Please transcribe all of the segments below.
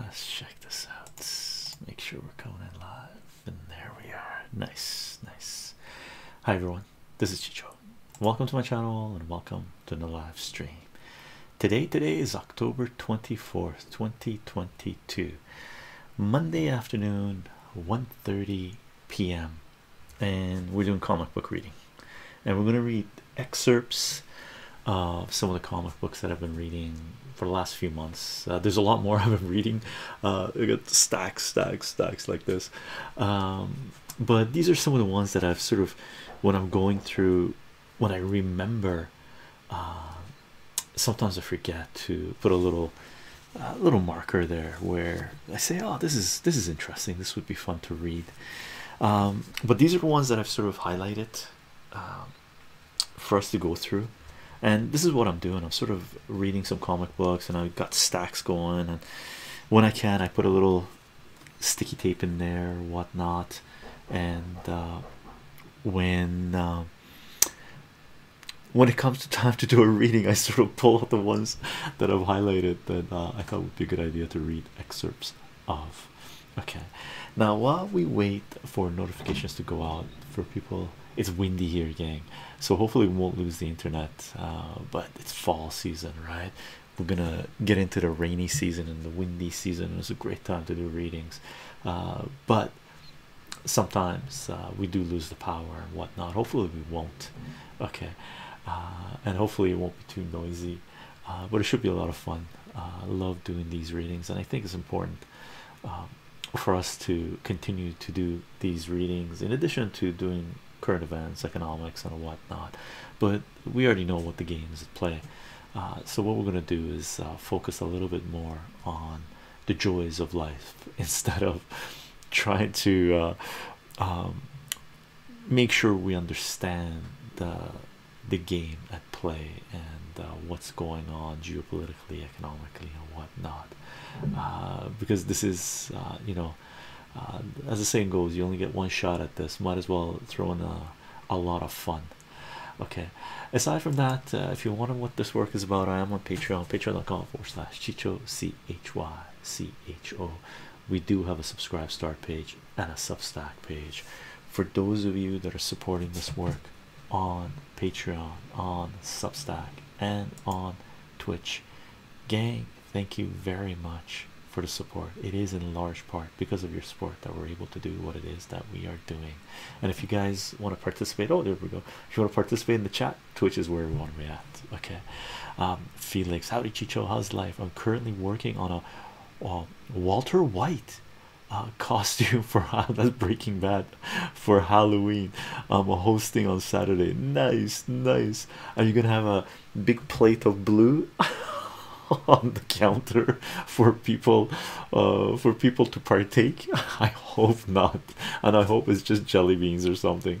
Let's check this out. make sure we're coming in live. And there we are. Nice, nice. Hi everyone, this is Chicho. Welcome to my channel and welcome to the live stream. Today, today is October 24th, 2022. Monday afternoon, 1:30 p.m. And we're doing comic book reading and we're going to read excerpts of some of the comic books that I've been reading for the last few months. Uh, there's a lot more I've been reading, uh, I got stacks, stacks, stacks like this. Um, but these are some of the ones that I've sort of when I'm going through when I remember. Uh, sometimes I forget to put a little little marker there where I say oh this is this is interesting this would be fun to read um, but these are the ones that I've sort of highlighted um, for us to go through, and this is what I'm doing. I'm sort of reading some comic books, and I've got stacks going. And when I can, I put a little sticky tape in there, whatnot. And uh, when um, when it comes to time to do a reading, I sort of pull out the ones that I've highlighted that uh, I thought would be a good idea to read excerpts of. Okay, now while we wait for notifications to go out for people, it's windy here, gang. So hopefully we won't lose the internet. Uh, but it's fall season, right? We're gonna get into the rainy season and the windy season. It's a great time to do readings, uh, but sometimes uh, we do lose the power and whatnot. Hopefully we won't. Okay, and hopefully it won't be too noisy uh, but it should be a lot of fun. Uh, I love doing these readings, and I think it's important um, for us to continue to do these readings in addition to doing current events, economics, and whatnot. But we already know what the game is at play, uh, so what we're going to do is focus a little bit more on the joys of life instead of trying to um, make sure we understand the the game at play and uh, what's going on geopolitically, economically, and whatnot. Uh, because this is, uh, you know, as the saying goes, you only get one shot at this. Might as well throw in a, a lot of fun. Okay, aside from that, if you want to know what this work is about, I am on Patreon, patreon.com forward slash chicho c h y c h o. We do have a subscribe start page and a Substack page for those of you that are supporting this work on Patreon, on Substack, and on Twitch. Gang, thank you very much for the support. It is in large part because of your support that we're able to do what it is that we are doing. And if you guys want to participate, oh, there we go. If you want to participate in the chat, Twitch is where we want to react. Okay. Um, Felix, howdy Chicho, how's life? I'm currently working on a uh, Walter White uh, costume for that's Breaking Bad for Halloween. I'm um, hosting on Saturday. Nice, nice. Are you gonna have a big plate of blue on the counter for people, uh, for people to partake? I hope not, and I hope it's just jelly beans or something.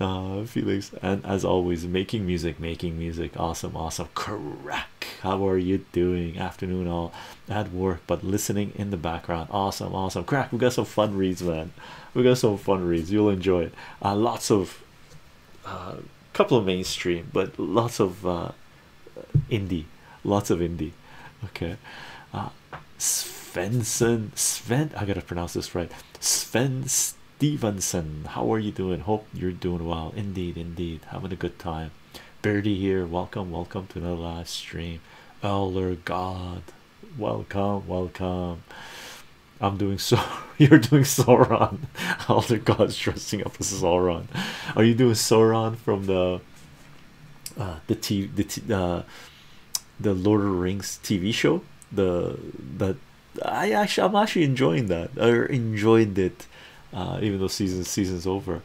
Uh, Felix, and as always, making music, making music. Awesome, awesome. Correct how are you doing? Afternoon, all at work, but listening in the background. Awesome, awesome. Crack, we got some fun reads, man. We got some fun reads. You'll enjoy it. Uh, lots of uh, couple of mainstream, but lots of uh, indie, lots of indie. Okay, uh, Svensson, Sven. I gotta pronounce this right. Sven Stevenson, how are you doing? Hope you're doing well. Indeed, indeed, having a good time time. Birdie here, welcome, welcome to the live stream. Elder God, welcome, welcome. I'm doing so. You're doing Sauron. Elder God's dressing up as Sauron. Are you doing Sauron from the uh, the t the uh, the Lord of the Rings TV show? The that I actually I'm actually enjoying that. I enjoyed it uh, even though season season's over.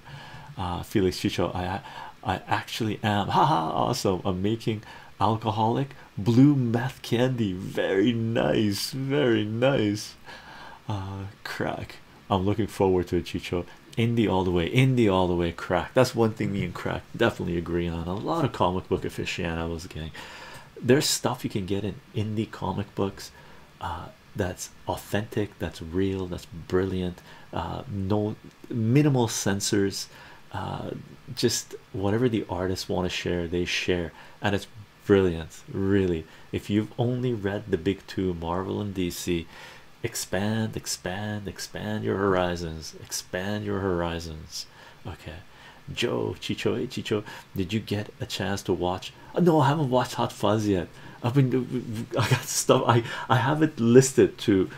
Uh, Felix Chicho, I I actually am. Haha, awesome. I'm making alcoholic blue meth candy. Very nice, very nice. Uh, crack. I'm looking forward to it, Chicho. Indie all the way, indie all the way, crack. That's one thing me and crack definitely agree on. A lot of comic book aficionados, gang. There's stuff you can get in indie comic books, that's authentic, that's real, that's brilliant. Uh, no minimal censors, uh, just whatever the artists want to share, they share, and it's brilliant, really. If you've only read the big two, Marvel and DC, expand, expand, expand your horizons, expand your horizons. Okay, Joe Chicho, hey, Chicho, did you get a chance to watch uh, no, I haven't watched Hot Fuzz yet. I've been I got stuff I I haven't listed to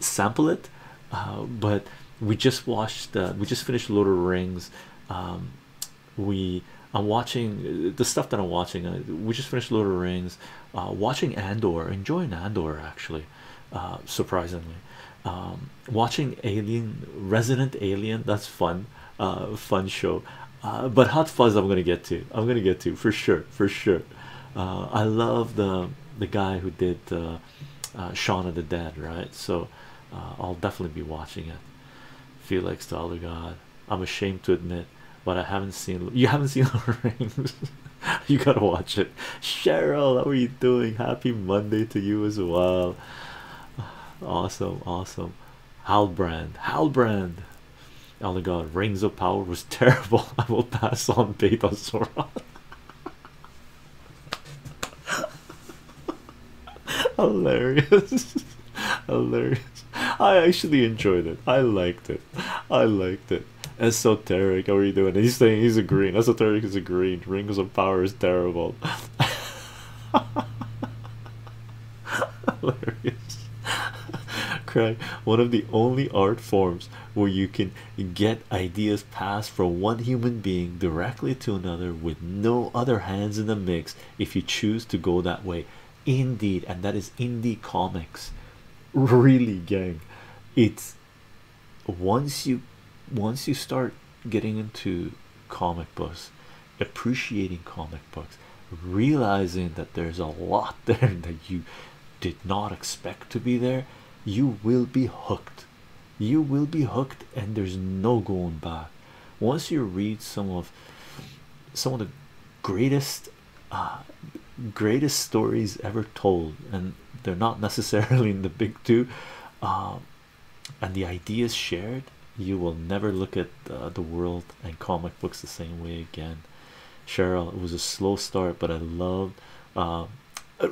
sample it, uh, but we just watched. Uh, we just finished Lord of the Rings. Um, we I'm watching the stuff that I'm watching. we just finished Lord of the Rings. watching Andor, enjoying Andor actually, surprisingly. Um, watching Alien, Resident Alien. That's fun uh, fun show. Uh, but Hot Fuzz, I'm gonna get to. I'm gonna get to for sure, for sure. Uh, I love the the guy who did uh, uh Shaun of the Dead, right? So I'll definitely be watching it. Felix the Other God. I'm ashamed to admit, but I haven't seen. You haven't seen the Rings. you gotta watch it. Cheryl, how are you doing? Happy Monday to you as well. Awesome, awesome. Halbrand, Halbrand. Oh my god, Rings of Power was terrible. I will pass on Beta Sora. Hilarious. Hilarious. I actually enjoyed it. I liked it. I liked it. Esoteric, how are you doing? He's saying he's a green. Esoteric is a green. Rings of Power is terrible. hilarious one of the only art forms where you can get ideas passed from one human being directly to another with no other hands in the mix if you choose to go that way. Indeed, and that is indie comics. Really, gang. It's once you once you start getting into comic books appreciating comic books, realizing that there's a lot there that you did not expect to be there, you will be hooked. You will be hooked, and there's no going back. Once you read some of some of the greatest uh, greatest stories ever told, and they're not necessarily in the big two, uh, and the ideas shared, you will never look at uh, the world and comic books the same way again. Cheryl, it was a slow start, but I loved. Um, it.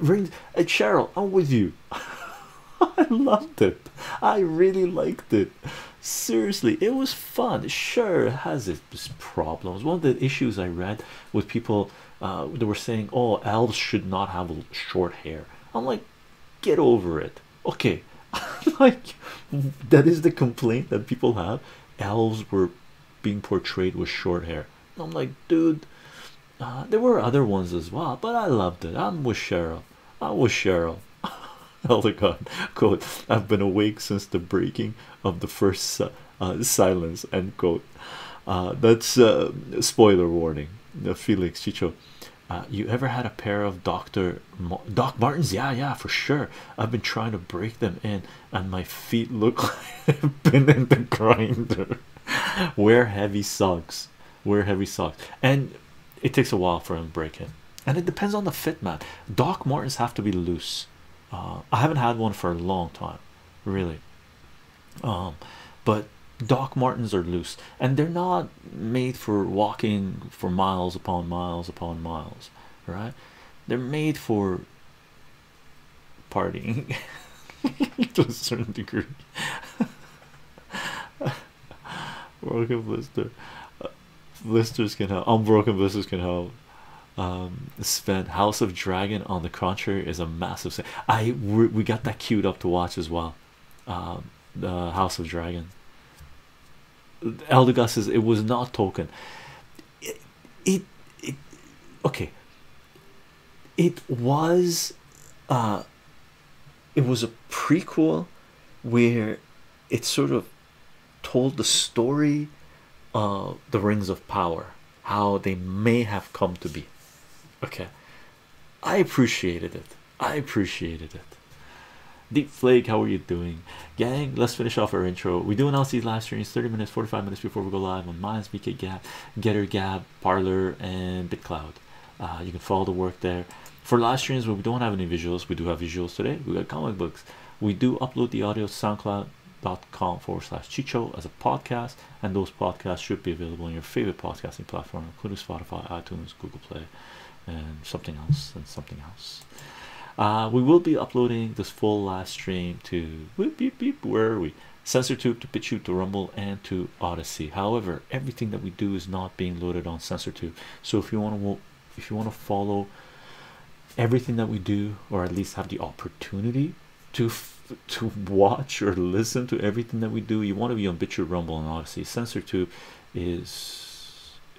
Uh, Cheryl, I'm with you. I loved it. I really liked it. Seriously, it was fun. Sure, has its problems. One of the issues I read with people uh, they were saying, "Oh, elves should not have short hair." I'm like, get over it okay like that is the complaint that people have elves were being portrayed with short hair i'm like dude uh, there were other ones as well but i loved it i'm with cheryl i was cheryl elder god quote i've been awake since the breaking of the first uh, silence end quote uh, that's a uh, spoiler warning felix chicho you ever had a pair of dr Doc Martens, yeah, yeah, for sure. I've been trying to break them in, and my feet look like I've been in the grinder. Wear heavy socks, wear heavy socks, and it takes a while for them to break in, and it depends on the fit, man. Doc Martens have to be loose. Uh, I haven't had one for a long time, really. Um, but Doc Martens are loose and they're not made for walking for miles upon miles upon miles right? They're made for partying to a certain degree. Broken blister, uh, blisters can help. Unbroken blisters can help. Um, House of Dragon on the contrary is a massive. I we got that queued up to watch as well. Um, the House of Dragon. Eldegus says it was not token. It, it, it okay. It was, uh, it was a prequel where it sort of told the story of the Rings of Power, how they may have come to be. Okay, I appreciated it. I appreciated it. Deepflake, how are you doing? Gang, let's finish off our intro. We do announce these live streams 30 minutes, 45 minutes before we go live on Minds, BK Gap, Getter Gap, Parlor, and BitCloud. Uh, you can follow the work there. For live streams where we don't have any visuals, we do have visuals today. We got comic books. We do upload the audio to soundcloud.com forward slash chicho as a podcast, and those podcasts should be available on your favorite podcasting platform, including Spotify, iTunes, Google Play, and something else, and something else. Uh, we will be uploading this full live stream to whoop, beep, beep, where are we? SensorTube to BitChute to Rumble and to Odyssey. However, everything that we do is not being loaded on SensorTube. So if you want to, if you want to follow everything that we do, or at least have the opportunity to to watch or listen to everything that we do, you want to be on BitChute, Rumble, and Odyssey. SensorTube is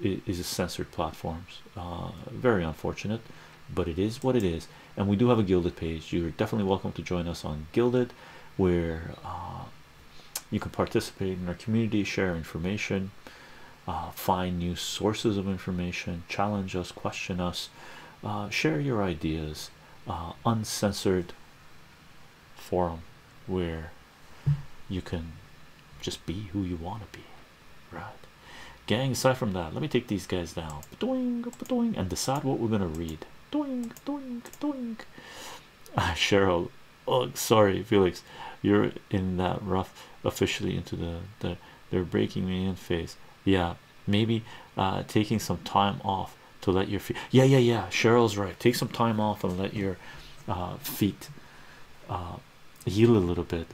is censored platform. Uh, very unfortunate but it is what it is and we do have a gilded page you're definitely welcome to join us on gilded where uh, you can participate in our community share information uh, find new sources of information challenge us question us share your ideas uncensored forum where you can just be who you want to be, right? Gang, aside from that, let me take these guys down and decide what we're going to read. Doink, doink, doink. Ah, Cheryl, oh, sorry, Felix, you're in that rough officially into the, the they're breaking me in phase. Yeah, maybe uh, taking some time off to let your feet. Yeah, yeah, yeah. Cheryl's right. Take some time off and let your uh, feet uh, heal a little bit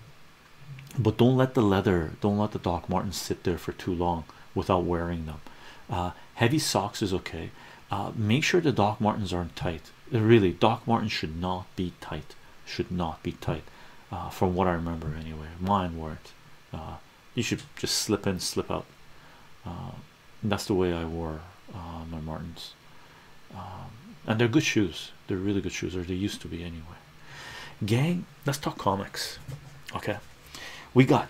but don't let the leather don't let the doc martens sit there for too long without wearing them uh, heavy socks is okay uh, make sure the doc martens aren't tight uh, really doc martens should not be tight should not be tight from what i remember anyway mine weren't you should just slip in slip out that's the way i wore my Martens. Um, and they're good shoes they're really good shoes or they used to be anyway gang let's talk comics okay we got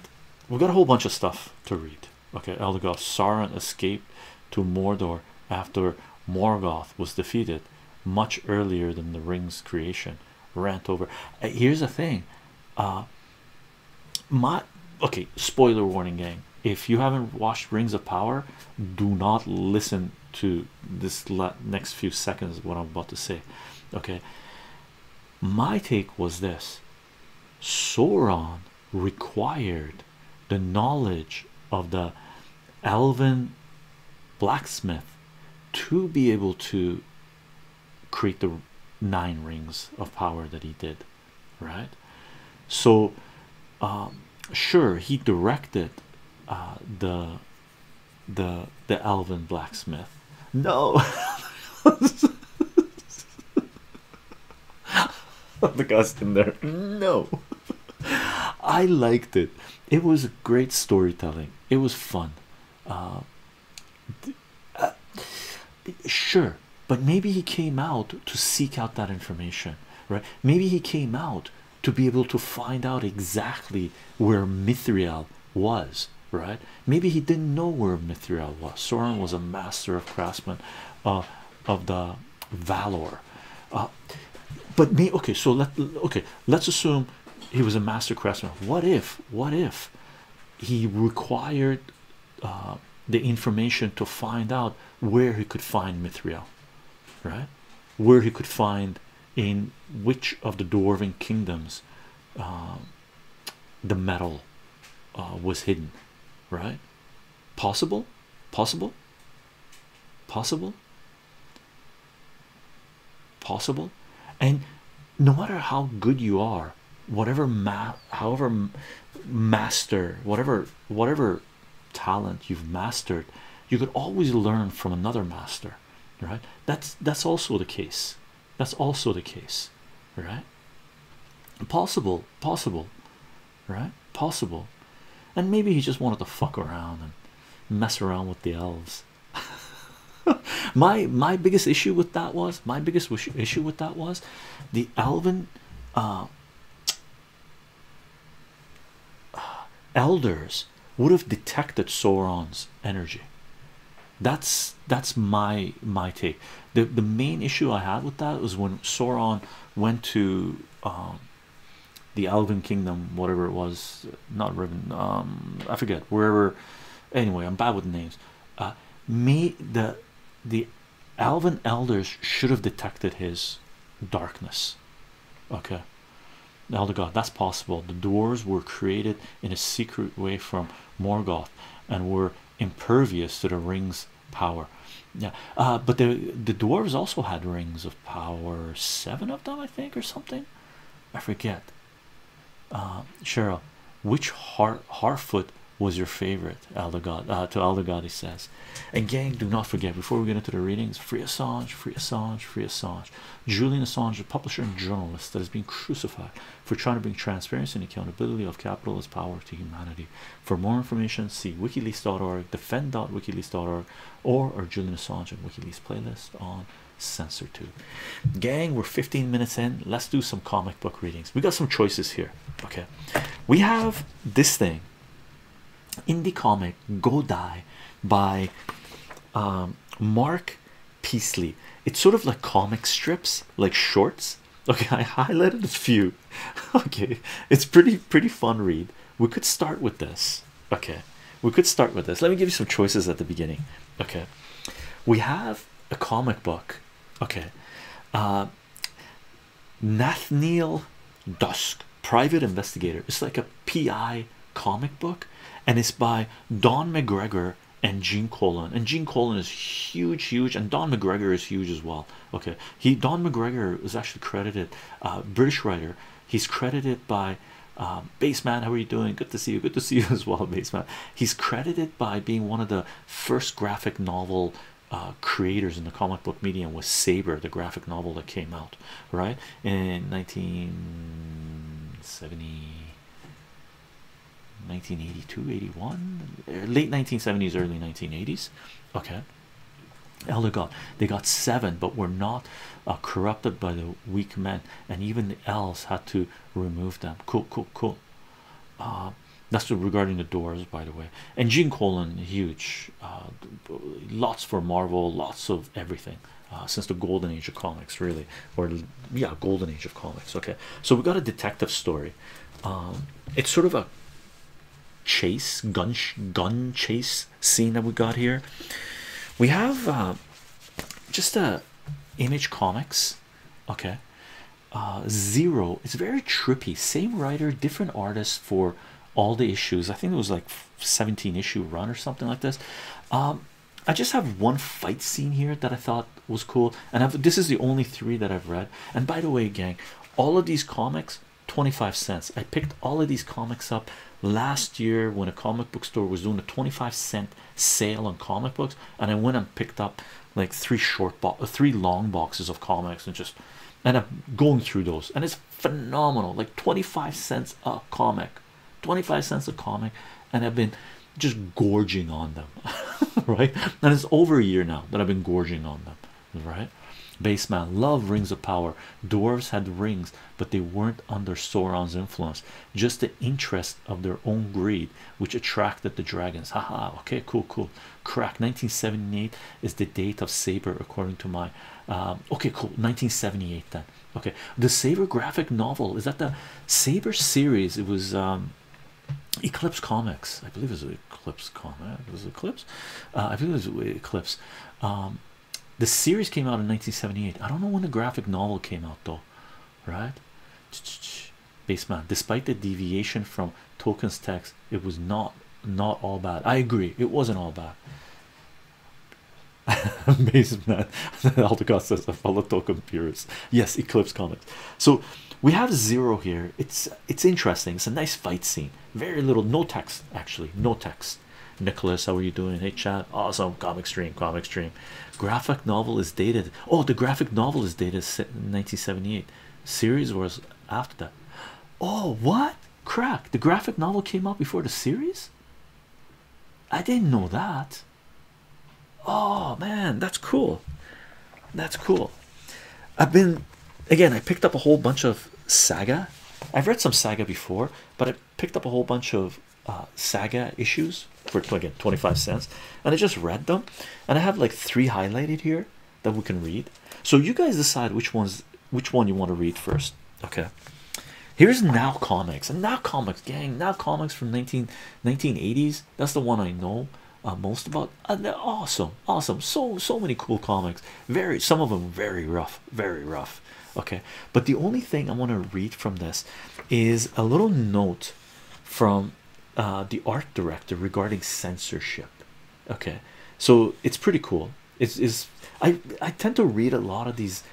we got a whole bunch of stuff to read okay Elgoth Sauron escaped to Mordor after Morgoth was defeated much earlier than the ring's creation rant over uh, here's the thing uh my okay spoiler warning gang if you haven't watched Rings of Power do not listen to this next few seconds what i'm about to say okay my take was this sauron required the knowledge of the elven blacksmith to be able to create the nine rings of power that he did right so um, sure he directed uh, the the the Alvin blacksmith. No, the guy's in there. No, I liked it. It was great storytelling. It was fun. Uh, uh, sure, but maybe he came out to seek out that information, right? Maybe he came out to be able to find out exactly where Mithril was, right? Maybe he didn't know where Mithril was. Sauron was a master of craftsmen uh, of the Valor. Uh, but me okay, so let okay, let's assume he was a master craftsman. What if, what if he required uh, the information to find out where he could find Mithril? right where he could find in which of the dwarven kingdoms um, the metal uh, was hidden right possible possible possible possible and no matter how good you are whatever ma however master whatever whatever talent you've mastered you could always learn from another master right that's that's also the case that's also the case right possible possible right possible and maybe he just wanted to fuck around and mess around with the elves my my biggest issue with that was my biggest issue with that was the elven uh, elders would have detected Sauron's energy. That's that's my my take. The the main issue I had with that was when Sauron went to um, the Elven Kingdom, whatever it was, not Riven, um, I forget wherever. Anyway, I'm bad with names. Uh, me the the Alvin elders should have detected his darkness. Okay, the elder god that's possible the dwarves were created in a secret way from morgoth and were impervious to the rings power yeah uh, but the the dwarves also had rings of power seven of them i think or something i forget uh, cheryl which har harfoot was your favorite elder god uh, to elder god he says and gang, do not forget before we get into the readings, free Assange, free Assange, free Assange. Julian Assange, a publisher and journalist that has been crucified for trying to bring transparency and accountability of capitalist power to humanity. For more information, see wikileaks.org, defend.wikileaks.org, or our Julian Assange and WikiLeaks playlist on Censor Tube. Gang, we're 15 minutes in. Let's do some comic book readings. We got some choices here. Okay. We have this thing indie comic Go Die by um, Mark Peasley. It's sort of like comic strips, like shorts. Okay, I highlighted a few. Okay, it's pretty pretty fun read. We could start with this. Okay, we could start with this. Let me give you some choices at the beginning. Okay, we have a comic book. Okay, uh, Nathaniel Dusk Private Investigator. It's like a PI comic book, and it's by Don McGregor and Gene Colan. And Gene Colan is huge, huge, and Don McGregor is huge as well. Okay, he Don McGregor is actually credited, uh, British writer. He's credited by um, Baseman. How are you doing? Good to see you. Good to see you as well, Baseman. He's credited by being one of the first graphic novel. Uh, creators in the comic book medium with Saber, the graphic novel that came out right in 1970 1982 81 late 1970s early 1980s okay elder god they got seven but were not uh, corrupted by the weak men and even the elves had to remove them cool cool cool uh, that's regarding the doors by the way and Jean colon huge uh, lots for Marvel, lots of everything uh, since the golden age of comics, really, or yeah, golden age of comics. Okay, so we got a detective story. Um, it's sort of a chase gun gun chase scene that we got here. We have uh, just a uh, image comics. Okay, zero. It's very trippy. Same writer, different artist for all the issues. I think it was like 17 issue run or something like this. Um, I just have one fight scene here that I thought was cool, and this is the only three that I've read. And by the way, gang, all of these comics 25 cents. I picked all of these comics up last year when a comic book store was doing a 25 cent sale on comic books, and I went and picked up like three short, box, three long boxes of comics and just and I'm going through those, and it's phenomenal like 25 cents a comic 25 cents a comic and i've been just gorging on them right and it's over a year now that i've been gorging on them right baseman love rings of power dwarves had rings but they weren't under sauron's influence just the interest of their own greed which attracted the dragons haha okay cool cool crack 1978 is the date of saber according to my um, okay cool 1978 then okay the saber graphic novel is that the saber series it was um, eclipse comics i believe it was eclipse comic it was eclipse uh, i think it was eclipse um, the series came out in 1978 i don't know when the graphic novel came out though right baseman despite the deviation from Tolkien's text it was not not all bad i agree it wasn't all bad Amazing man. Aldecott says a fellow token purist. Yes, Eclipse comics. So we have zero here. It's it's interesting. It's a nice fight scene. Very little, no text actually, no text. Nicholas, how are you doing? Hey chat, awesome. Comic stream, comic stream. Graphic novel is dated. Oh, the graphic novel is dated 1978. Series was after that. Oh, what? Crack. The graphic novel came out before the series. I didn't know that. Oh man, that's cool. That's cool. I've been again, I picked up a whole bunch of saga. I've read some saga before, but I picked up a whole bunch of uh, saga issues for again 25 cents, and I just read them. And I have like three highlighted here that we can read. So you guys decide which ones which one you want to read first. Okay, here's Now Comics and Now Comics, gang. Now Comics from 19, 1980s. That's the one I know uh, most about. and uh, they're awesome, awesome. So so many cool comics. Very some of them very rough, very rough. Okay, but the only thing I want to read from this is a little note from uh, the art director regarding censorship. Okay, so it's pretty cool. It's is I I tend to read a lot of these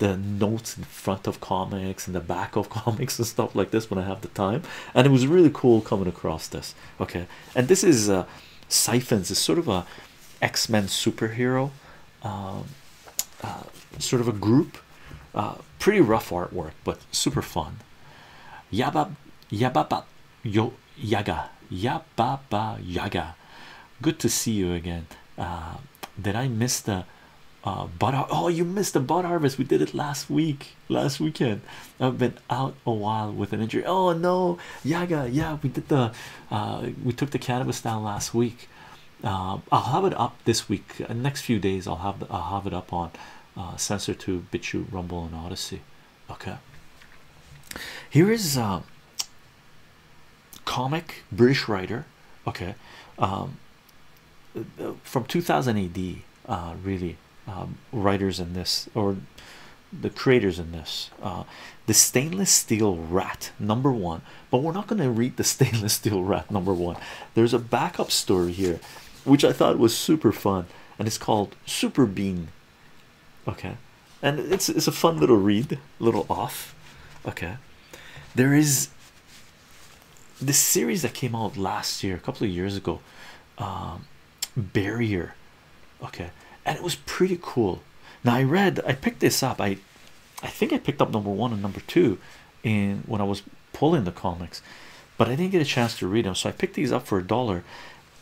the notes in front of comics and the back of comics and stuff like this when I have the time, and it was really cool coming across this. Okay, and this is uh, Siphons is sort of a X-Men superhero, um, uh, sort of a group. Uh, pretty rough artwork, but super fun. Yabab, yababa, yo, yaga, yab, Baba Yaga, good to see you again. Uh, did I miss the uh, oh, you missed the bud harvest? We did it last week, last weekend. I've been out a while with an injury. Oh no, Yaga, yeah, we did the uh, we took the cannabis down last week. Uh, I'll have it up this week. next few days, I'll have I'll have it up on uh, Sensor Two, BitChute, Rumble, and Odyssey. Okay. Here is comic British writer, okay, um, from 2000 AD, uh, really, um, writers in this or the creators in this, uh, the stainless steel rat number one. But we're not going to read the stainless steel rat number one. There's a backup story here, which I thought was super fun, and it's called Super Bean. Okay, and it's it's a fun little read, little off. Okay, there is this series that came out last year, a couple of years ago, um, Barrier. Okay, and it was pretty cool. Now I read, I picked this up. I I think I picked up number one and number two in when I was pulling the comics, but I didn't get a chance to read them. So I picked these up for a dollar.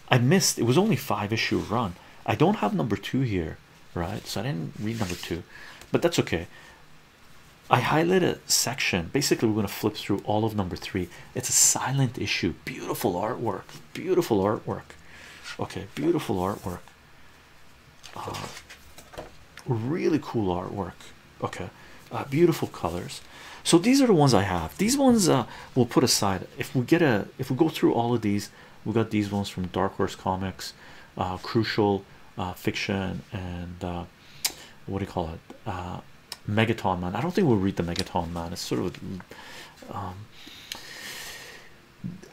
I missed. It was only five issue run. I don't have number two here right? So I didn't read number two, but that's okay. I highlight a section. Basically, we're going to flip through all of number three. It's a silent issue. Beautiful artwork. Beautiful artwork. Okay, beautiful artwork. Uh, really cool artwork. Okay, uh, beautiful colors. So these are the ones I have. These ones uh, we'll put aside. If we get a, if we go through all of these, we got these ones from Dark Horse Comics. Uh, crucial uh, fiction, and uh, what do you call it? Megaton Man. I don't think we'll read the Megaton Man. It's sort of um,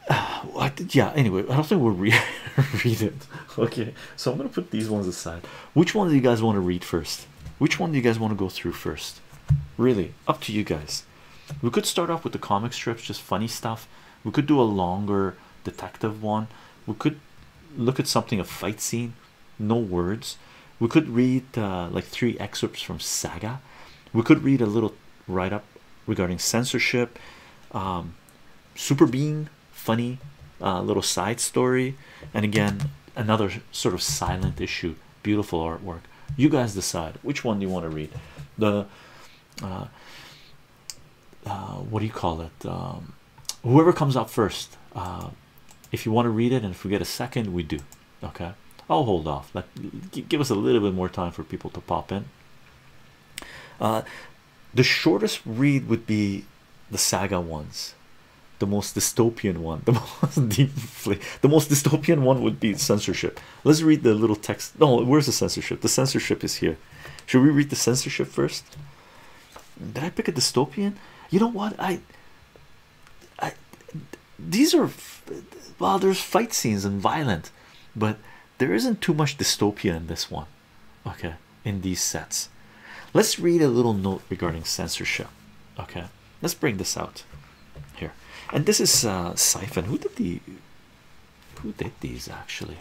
uh, yeah. Anyway, I don't think we'll re read it. Okay, so I'm gonna put these ones aside. Which one do you guys want to read first? Which one do you guys want to go through first? Really, up to you guys. We could start off with the comic strips, just funny stuff we could do a longer detective one we could look at something a fight scene no words we could read uh, like three excerpts from saga we could read a little write-up regarding censorship um, super being funny a uh, little side story and again another sort of silent issue beautiful artwork you guys decide which one do you want to read the uh, uh, what do you call it? Um, whoever comes up first, uh, if you want to read it and if we get a second, we do. Okay, I'll hold off. give us a little bit more time for people to pop in. the shortest read would be the saga ones, the most dystopian one, the most deeply, the most dystopian one would be censorship. Let's read the little text. No, where's the censorship? The censorship is here. Should we read the censorship first? Did I pick a dystopian? You know what? I, I, these are well, there's fight scenes and violent, but there isn't too much dystopia in this one, okay? In these sets, let's read a little note regarding censorship, okay? Let's bring this out here, and this is uh, Siphon. Who did the who did these actually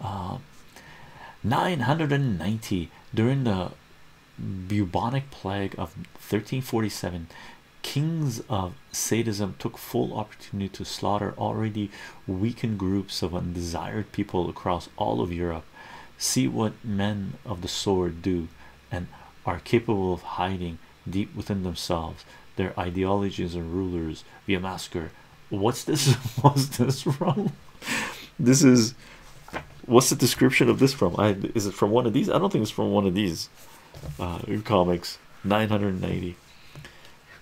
uh, 990 during the bubonic plague of 1347 kings of sadism took full opportunity to slaughter already weakened groups of undesired people across all of europe see what men of the sword do and are capable of hiding deep within themselves their ideologies and rulers via massacre What's this? What's this from? This is what's the description of this from? I is it from one of these? I don't think it's from one of these uh, comics 990.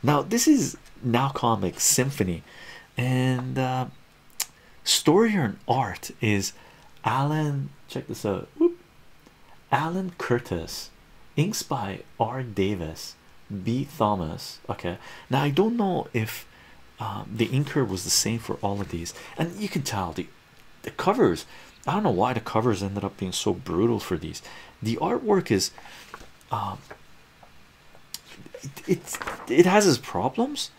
Now, this is now comics symphony, and uh, story and art is Alan. Check this out. Alan Curtis, inks by R. Davis, B Thomas okay now I don't know if um, the inker was the same for all of these and you can tell the covers I don't know why the covers ended up being so brutal for these the artwork is um, it has its problems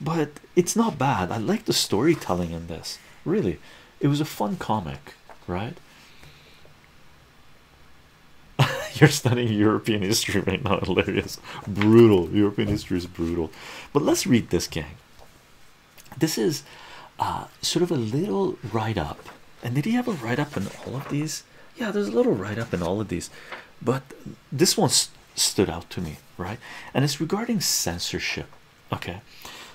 but it's not bad I like the storytelling in this really it was a fun comic right You're studying European history right now, hilarious. Brutal. European history is brutal. But let's read this, gang. This is uh, sort of a little write up. And did he have a write up in all of these? Yeah, there's a little write up in all of these. But this one stood out to me, right? And it's regarding censorship. Okay.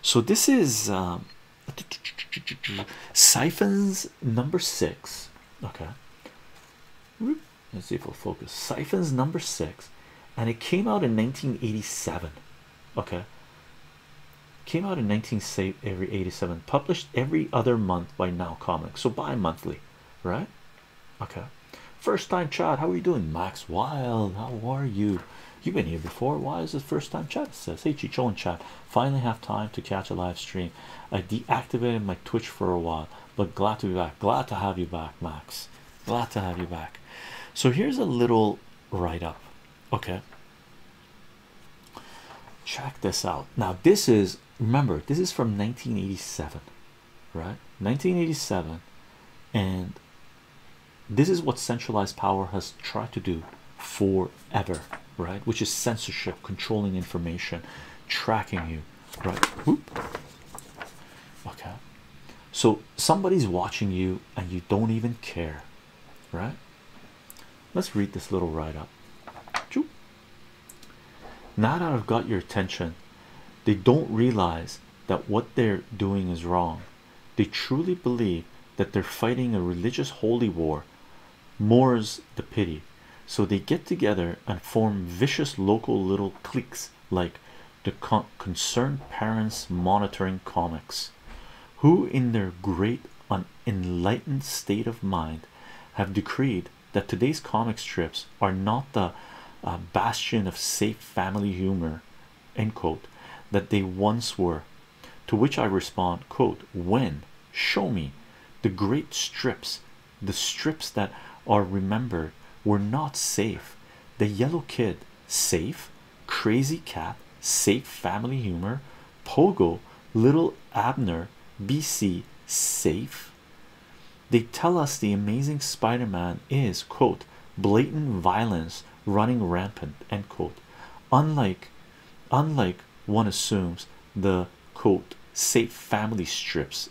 So this is. Um, Siphons number six. Okay, let's see if we'll focus. Siphons number six, and it came out in 1987. Okay, came out in 1987, published every other month by Now Comics, so bi monthly, right? Okay, first time chat. How are you doing, Max Wild? How are you? You've been here before. Why is this first time chat? says, Hey, Chicho chat. Finally, have time to catch a live stream. I deactivated my Twitch for a while, but glad to be back. Glad to have you back, Max. Glad to have you back. So, here's a little write up. Okay, check this out. Now, this is remember, this is from 1987, right? 1987, and this is what centralized power has tried to do forever right which is censorship controlling information tracking you right okay so somebody's watching you and you don't even care right let's read this little write up now that I've got your attention, they don't realize that what they're doing is wrong. They truly believe that they're fighting a religious holy war more's the pity so they get together and form vicious local little cliques like the concerned parents monitoring comics who in their great unenlightened state of mind have decreed that today's comic strips are not the uh, bastion of safe family humor that they once were to which I respond, quote, when show me the great strips, the strips that are remembered were not safe. The yellow kid, safe, crazy cat, safe family humor, pogo, little Abner, BC, safe. They tell us the amazing Spider-Man is quote blatant violence running rampant end quote unlike unlike one assumes the safe family strips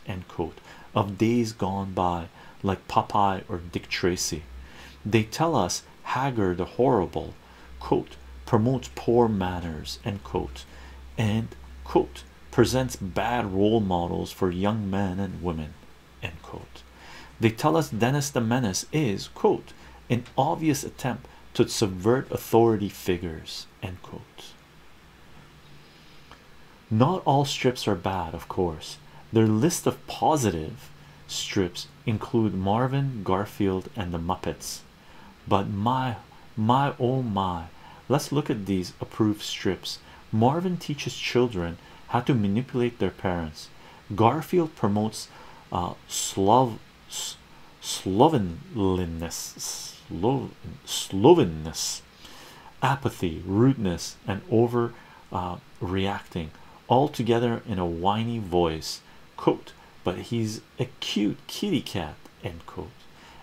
of days gone by like Popeye or Dick Tracy they tell us Haggard the horrible quote promotes poor manners end and quote presents bad role models for young men and women end they tell us Dennis the Menace is quote an obvious attempt to subvert authority figures not all strips are bad of course their list of positive strips include marvin garfield and the muppets but my my oh my let's look at these approved strips marvin teaches children how to manipulate their parents garfield promotes uh, slov slovenliness, slovenness, apathy, rudeness, and over reacting all together in a whiny voice. Quote, but he's a cute kitty cat. End quote.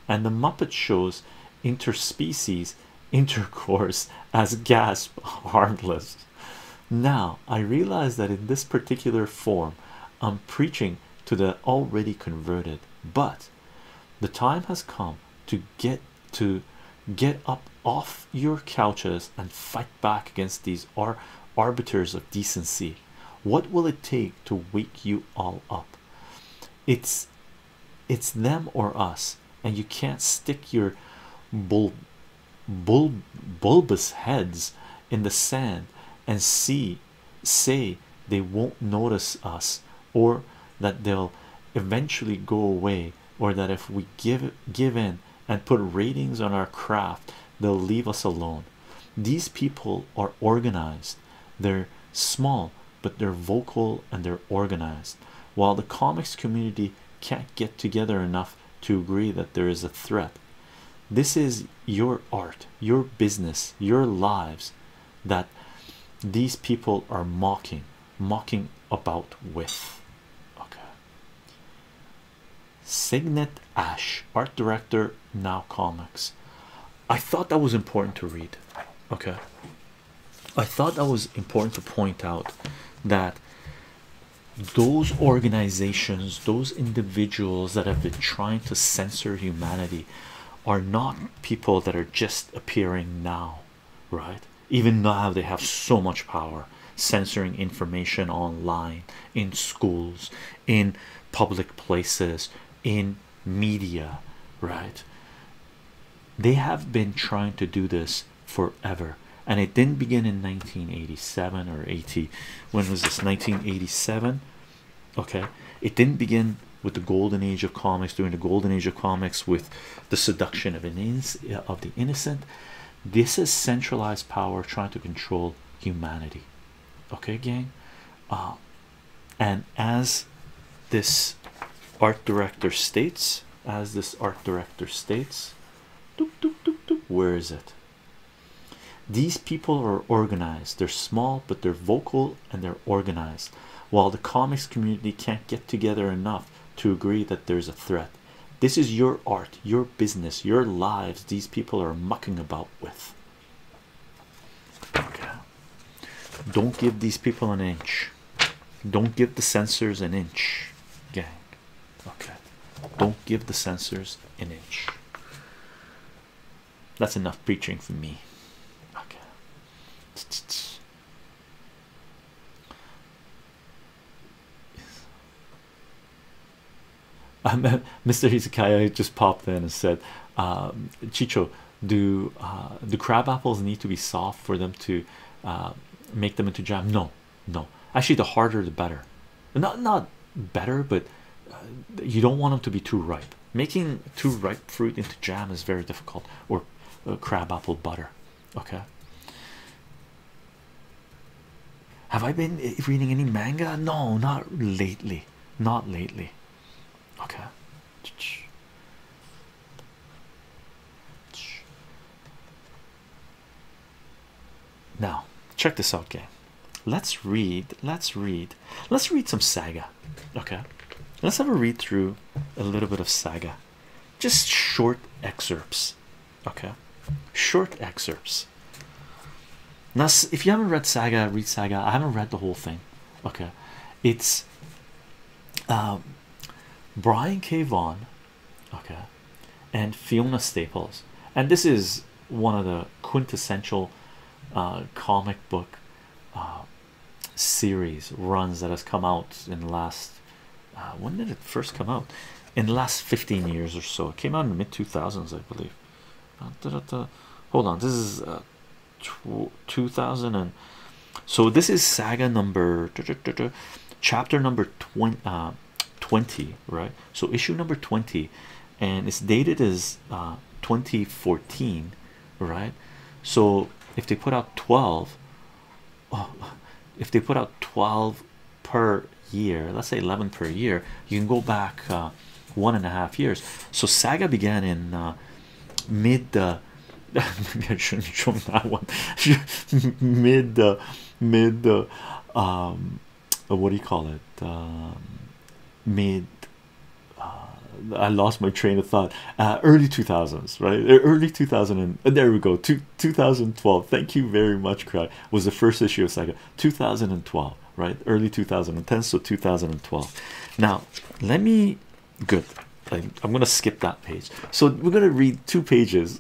And the Muppet shows interspecies intercourse as gasp harmless. Now I realize that in this particular form, I'm preaching to the already converted but the time has come to get to get up off your couches and fight back against these ar arbiters of decency what will it take to wake you all up it's it's them or us and you can't stick your bull, bull bulbous heads in the sand and see say they won't notice us or that they'll eventually go away or that if we give give in and put ratings on our craft they'll leave us alone these people are organized they're small but they're vocal and they're organized while the comics community can't get together enough to agree that there is a threat this is your art, your business, your lives that these people are mocking, mocking about with. Okay. Signet Ash, art director, Now Comics. I thought that was important to read. Okay. I thought that was important to point out that those organizations those individuals that have been trying to censor humanity, are not people that are just appearing now, right? Even now, they have so much power censoring information online, in schools, in public places, in media, right? They have been trying to do this forever, and it didn't begin in 1987 or 80. When was this? 1987 okay it didn't begin with the golden age of comics during the golden age of comics with the seduction of an of the innocent this is centralized power trying to control humanity okay gang uh, and as this art director states as this art director states where is it these people are organized, they're small, but they're vocal and they're organized. While the comics community can't get together enough to agree that there's a threat, this is your art, your business, your lives. These people are mucking about with. don't give these people an inch, don't give the censors an inch, gang. Okay, don't give the censors an inch. That's enough preaching for me. Okay. T -t Mr. Izakaya just popped in and said, um, Chicho, do uh, do crab apples need to be soft for them to uh, make them into jam? No, no. Actually, the harder the better. Not not better but uh, you don't want them to be too ripe making too ripe fruit into jam is very difficult or uh, crabapple butter okay have i been eh, reading any manga no not lately not lately okay now check this out gang let's read let's read let's read some saga okay let's have a read through a little bit of saga just short excerpts okay short excerpts now if you haven't read saga read saga i haven't read the whole thing okay it's um, brian k Vaughan, okay and fiona staples and this is one of the quintessential uh, comic book uh, series runs that has come out in the last uh, when did it first come out in the last 15 years or so it came out in the mid 2000s i believe hold on this is 2000 and so this is saga number chapter number 20 20 right so issue number 20 and it's dated as uh, 2014 right so if they put out 12 if they put out 12 per year let's say 11 per year you can go back uh, one and a half years so saga began in uh, mid maybe I shouldn't show that one mid mid um, what do you call it um, made uh, I lost my train of thought. Uh, early 2000s, right? Early 2000 and uh, there we go. Two, 2012. Thank you very much. Craig. was the first issue of Sega. 2012, right? Early 2010, so 2012. Now, let me. Good. I'm, gonna skip that page. So we're gonna read two pages,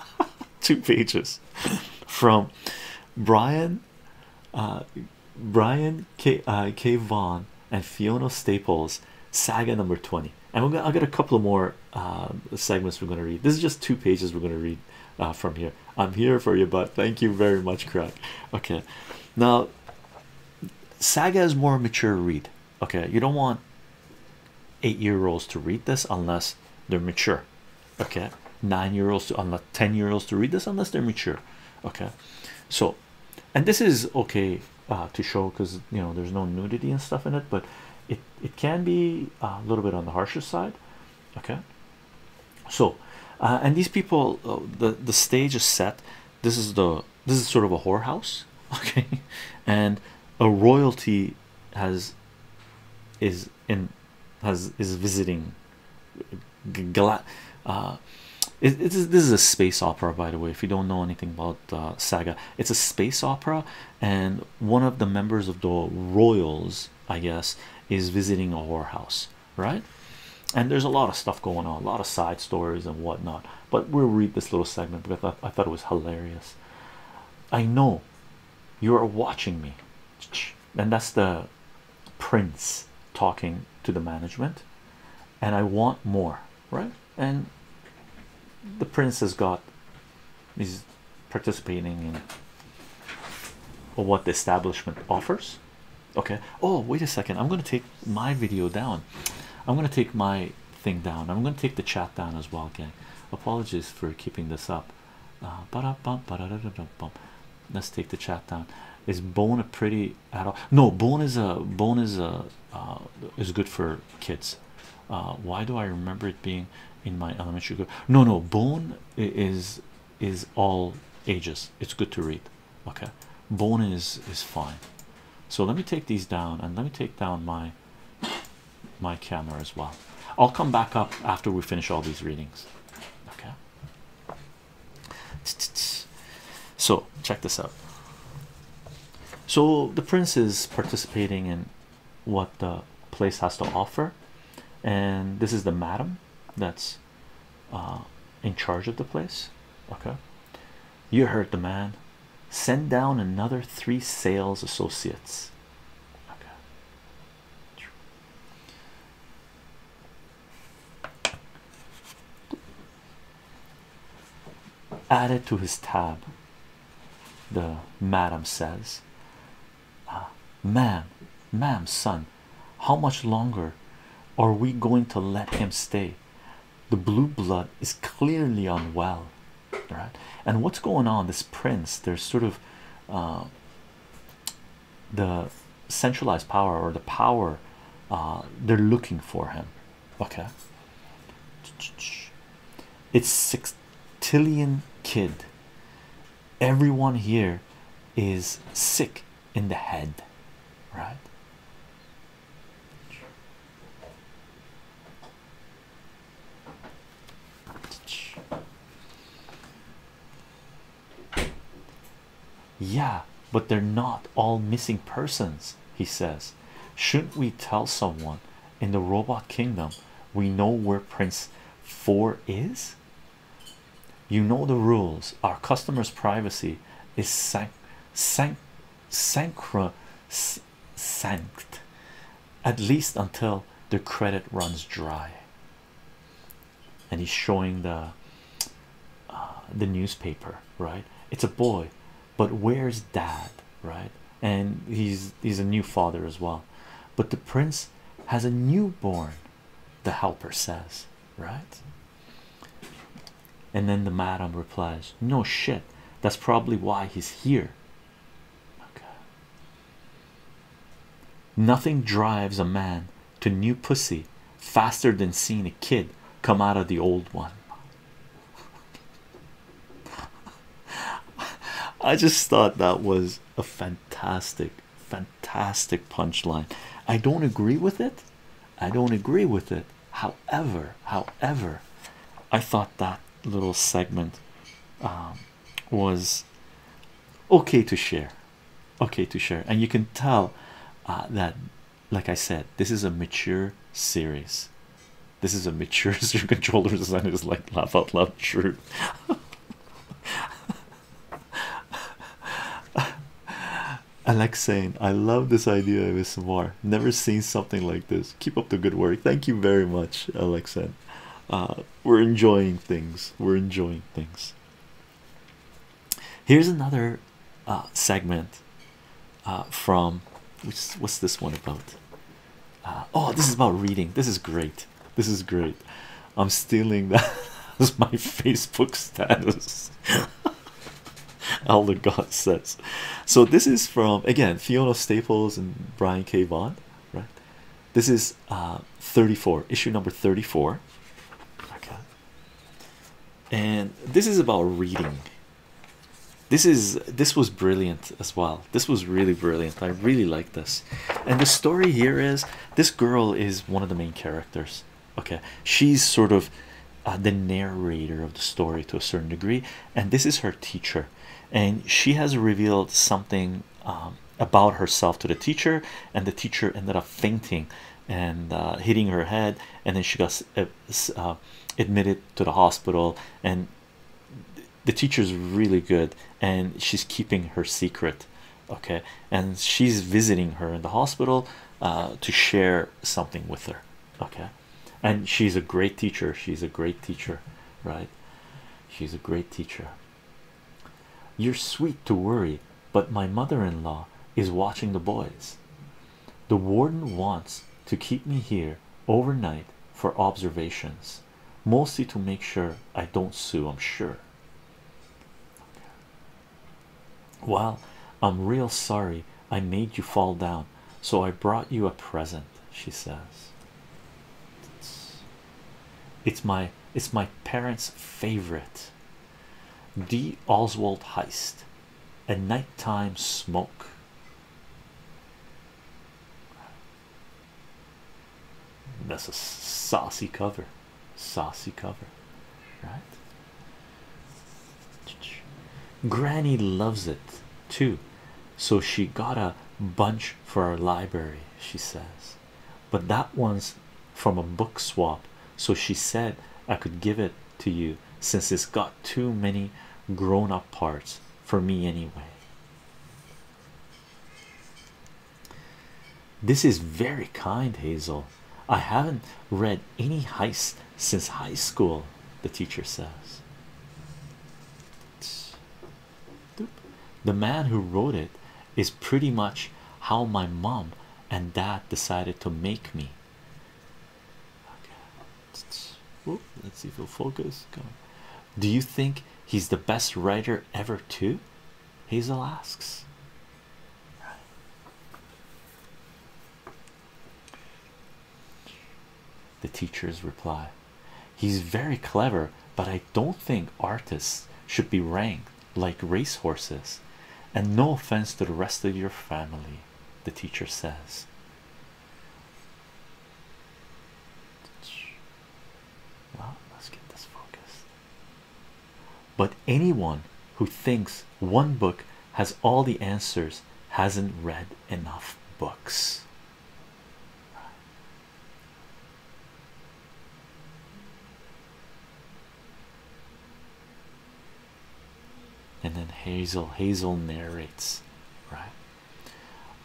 two pages, from Brian Brian K. Uh, K. Vaughn and Fiona Staples saga number 20. And we're going I got a couple of more uh, segments we're going to read. This is just two pages we're going to read uh, from here. I'm here for you, but thank you very much, Craig. Okay, now saga is more mature read. Okay, you don't want eight year olds to read this unless they're mature. Okay, nine year olds to unless 10 year olds to read this unless they're mature okay so and this is okay uh, to show because you know there's no nudity and stuff in it but it it can be uh, a little bit on the harsher side okay so uh, and these people the the stage is set this is the this is sort of a whorehouse okay and a royalty has is in has is visiting uh, this is a space opera, by the way. If you don't know anything about uh, Saga, it's a space opera, and one of the members of the royals, I guess, is visiting a whorehouse, right? And there's a lot of stuff going on, a lot of side stories and whatnot. But we'll read this little segment because I thought it was hilarious. I know you are watching me and that's the prince talking to the management and i want more right and the prince has got he's participating in what the establishment offers okay oh wait a second i'm going to take my video down i'm going to take my thing down i'm going to take the chat down as well gang apologies for keeping this up uh, let's take the chat down is bone a pretty at all. No, bone is a bone is a uh, is good for kids. Uh, why do I remember it being in my elementary group? No, no, bone is is all ages. It's good to read. Okay, bone is is fine. So let me take these down and let me take down my my camera as well. I'll come back up after we finish all these readings. Okay. So check this out. So the prince is participating in what the place has to offer, and this is the madam that's uh, in charge of the place. Okay, you heard the man. Send down another three sales associates. Okay added to his tab the madam says uh, ma'am ma'am son how much longer are we going to let him stay the blue blood is clearly unwell right and what's going on this prince there's sort of uh, the centralized power or the power uh, they're looking for him. Okay, it's six trillion kid. Everyone here is sick in the head, right? Yeah, but they're not all missing persons, he says. Shouldn't we tell someone in the robot kingdom we know where Prince 4 is? You know the rules. Our customers' privacy is sanct, sanct, sancra, sanct, at least until the credit runs dry and he's showing the uh, the newspaper right it's a boy but where's dad right and he's he's a new father as well but the prince has a newborn the helper says right and then the madam replies no shit that's probably why he's here nothing drives a man to new pussy faster than seeing a kid come out of the old one. I just thought that was a fantastic, fantastic punchline. I don't agree with it. I don't agree with it. However, however, I thought that little segment um, was okay to share. Okay to share, and you can tell uh, that like I said, this is a mature series. This is a mature series. controller design It's like laugh out loud true. Alex I love this idea of ASMR. Never seen something like this. Keep up the good work. Thank you very much, Alex. Uh, we're enjoying things. We're enjoying things. Here's another uh, segment uh, from what's this one about? Uh, oh, this is about reading. This is great. This is great. I'm stealing that as my Facebook status. the God says. So this is from again Fiona Staples and Brian K. Vaughn, right? This is 34, issue number 34 and this is about reading this is this was brilliant as well this was really brilliant i really like this and the story here is this girl is one of the main characters okay she's sort of uh, the narrator of the story to a certain degree and this is her teacher and she has revealed something um, about herself to the teacher and the teacher ended up fainting and uh, hitting her head, and then she got uh, uh, admitted to the hospital. And the teacher's really good, and she's keeping her secret. Okay, and she's visiting her in the hospital to share something with her. Okay, and she's a great teacher. She's a great teacher, right? She's a great teacher. You're sweet to worry but my mother-in-law is watching the boys. The warden wants to keep me here overnight for observations, mostly to make sure I don't sue, I'm sure. Well, I'm real sorry I made you fall down, so I brought you a present, she says. It's my it's my parents' favorite. D. Oswald Heist a nighttime smoke that's a saucy cover saucy cover right granny loves it too so she got a bunch for our library she says but that one's from a book swap, so she said I could give it to you since it's got too many grown up parts for me anyway. This is very kind, Hazel. I haven't read any heist since high school, the teacher says. The man who wrote it is pretty much how my mom and dad decided to make me. Let's see if he'll focus. Come Do you think he's the best writer ever, too? Hazel asks. The teachers reply, He's very clever, but I don't think artists should be ranked like racehorses and no offense to the rest of your family, the teacher says. Well, let's get this focused. But anyone who thinks one book has all the answers hasn't read enough books and then hazel hazel narrates right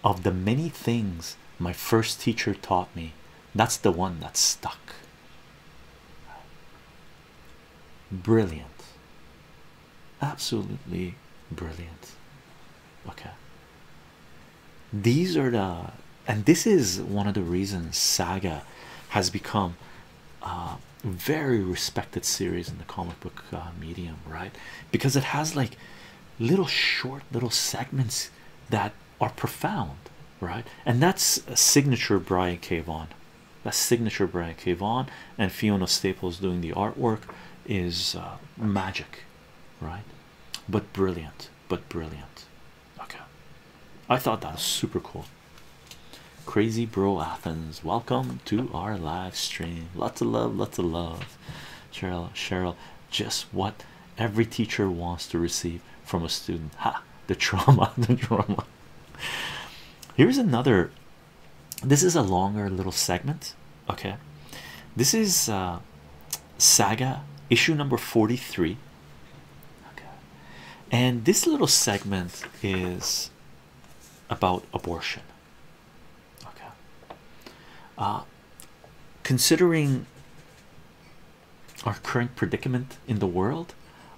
of the many things my first teacher taught me that's the one that stuck brilliant absolutely brilliant okay these are the and this is one of the reasons saga has become uh, very respected series in the comic book uh, medium, right? Because it has like little short little segments that are profound, right? And that's a signature Brian K. Vaughan. That's signature Brian K. Vaughan and Fiona Staples doing the artwork is uh, magic, right? But brilliant, but brilliant. Okay, I thought that was super cool. Crazy Bro Athens, welcome to our live stream. Lots of love, lots of love. Cheryl, Cheryl, just what every teacher wants to receive from a student. Ha! The trauma, the trauma. Here's another. This is a longer little segment. Okay, this is uh, Saga issue number 43. Okay, and this little segment is about abortion. Okay, uh, considering our current predicament in the world,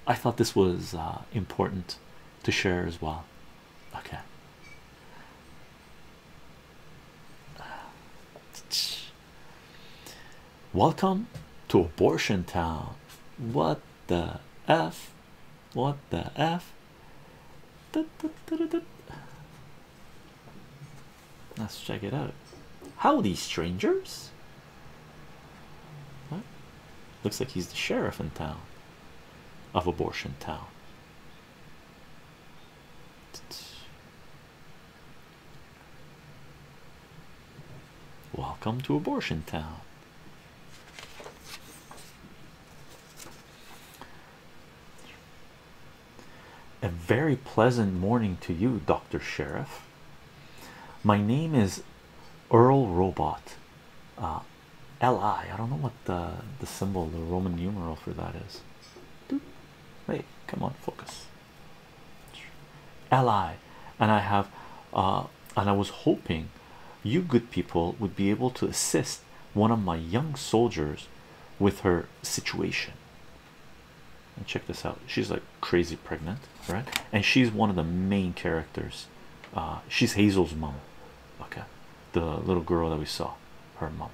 I thought this was uh, important to share as well. Okay. Welcome to Abortion Town. What the F? What the F? Let's check it out. Howdy, strangers. What? Looks like he's the sheriff in town of Abortion Town. Welcome to Abortion Town. A very pleasant morning to you, Dr. Sheriff. My name is Earl Robot. Uh, LI. I don't know what the, the symbol, the Roman numeral for that is. Wait, come on, focus. LI. And I have uh, and I was hoping you good people would be able to assist one of my young soldiers with her situation. And check this out. She's like crazy pregnant, right? And she's one of the main characters. Uh, she's Hazel's mom. Okay, the little girl that we saw, her mom.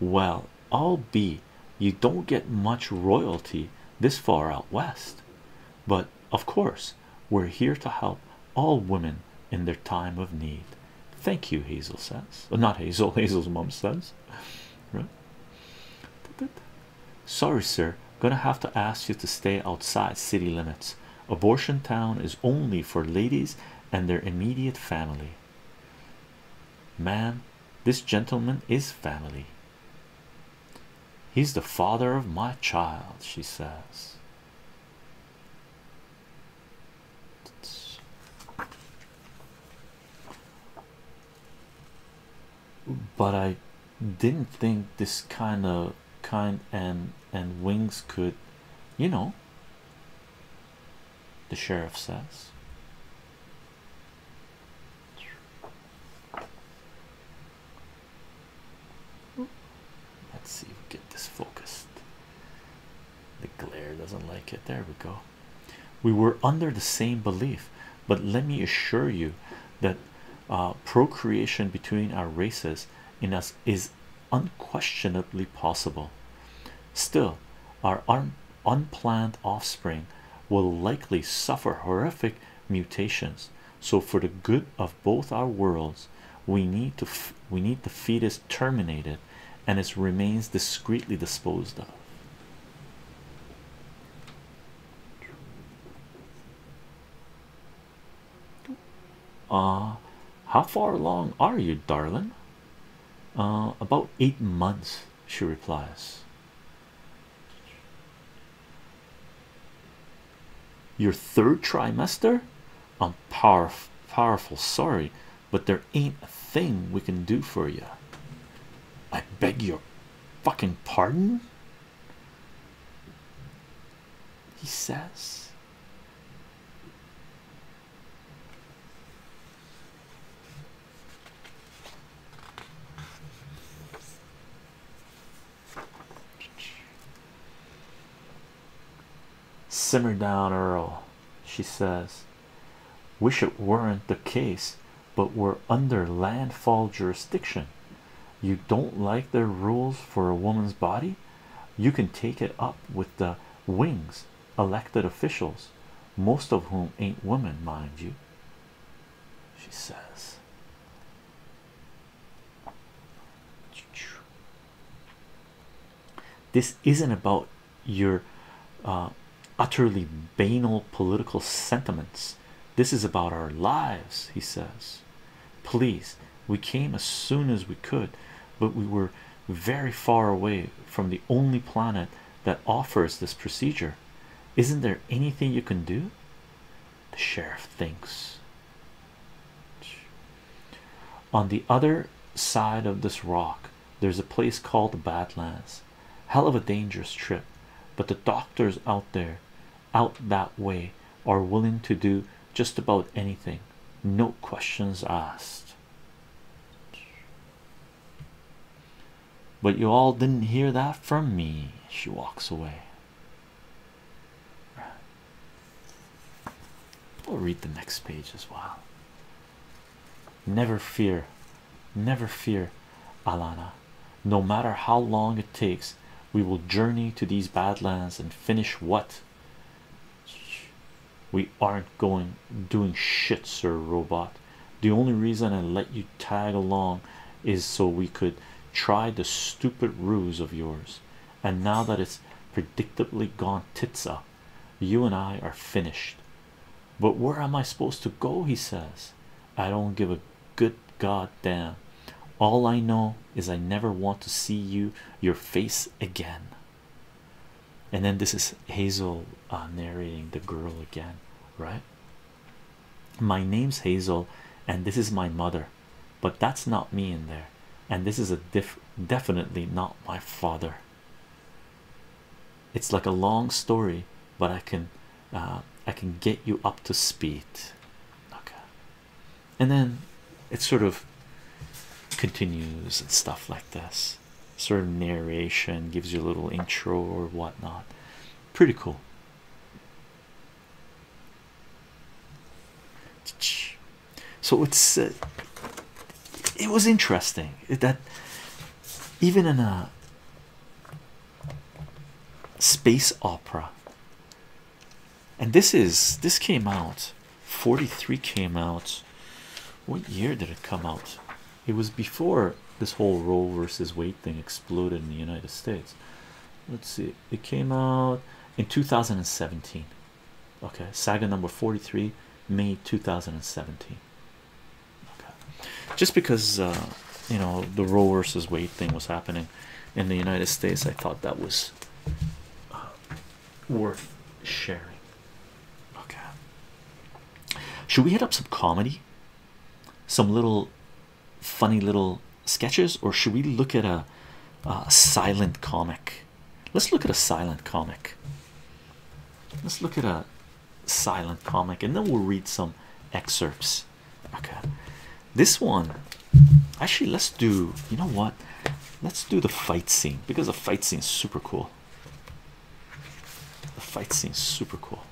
Well, I'll be you don't get much royalty this far out west, but of course, we're here to help all women in their time of need. Thank you, Hazel says. Uh, not Hazel, Hazel's mom says, right? Sorry, sir, gonna have to ask you to stay outside city limits. Abortion town is only for ladies and their immediate family. Man, this gentleman is family. He's the father of my child, she says. But I didn't think this kind of kind and and wings could, you know, the sheriff says. Let's see if we get this focused. The glare doesn't like it. There we go. We were under the same belief, but let me assure you that uh, procreation between our races in us is unquestionably possible. Still, our arm unplanned offspring will likely suffer horrific mutations so for the good of both our worlds we need to we need the fetus terminated and its remains discreetly disposed of uh how far along are you darling uh about eight months she replies. Your third trimester? I'm power powerful, sorry, but there ain't a thing we can do for you. I beg your fucking pardon, he says. Simmer down, Earl, she says. Wish it weren't the case, but we're under landfall jurisdiction. You don't like their rules for a woman's body? You can take it up with the wings, elected officials, most of whom ain't women, mind you she says. This isn't about your uh, utterly banal political sentiments. This is about our lives, he says. Please, we came as soon as we could, but we were very far away from the only planet that offers this procedure. Isn't there anything you can do? The sheriff thinks. On the other side of this rock, there's a place called the Badlands. Hell of a dangerous trip, but the doctors out there, out that way, are willing to do just about anything, no questions asked. But you all didn't hear that from me. She walks away. We'll read the next page as well. Never fear, never fear, Alana. No matter how long it takes, we will journey to these badlands and finish what we aren't going doing shit, sir. Robot, the only reason I let you tag along is so we could try the stupid ruse of yours. And now that it's predictably gone tits up, you and I are finished. But where am I supposed to go? He says, I don't give a good goddamn. All I know is I never want to see you, your face again. And then this is Hazel uh, narrating the girl again, right? My name's Hazel, and this is my mother, but that's not me in there, and this is a diff definitely not my father. It's like a long story, but I can uh, I can get you up to speed. Okay, and then it sort of continues and stuff like this. Sort of narration gives you a little intro or whatnot. Pretty cool. So it's uh, it was interesting that even in a space opera and this is this came out 43 came out what year did it come out it was before this whole Roe versus weight thing exploded in the United States. Let's see, it came out in 2017. Okay, saga number 43, May 2017. Okay, just because uh, you know the Roe versus weight thing was happening in the United States, I thought that was uh, worth sharing. Okay, should we hit up some comedy? some little funny little sketches, or should we look at a, silent comic? Let's look at a silent comic. Let's look at a silent comic, and then we'll read some excerpts. Okay, this one actually, let's do you know what? Let's do the fight scene because the fight scene is super cool. The fight scene is super cool.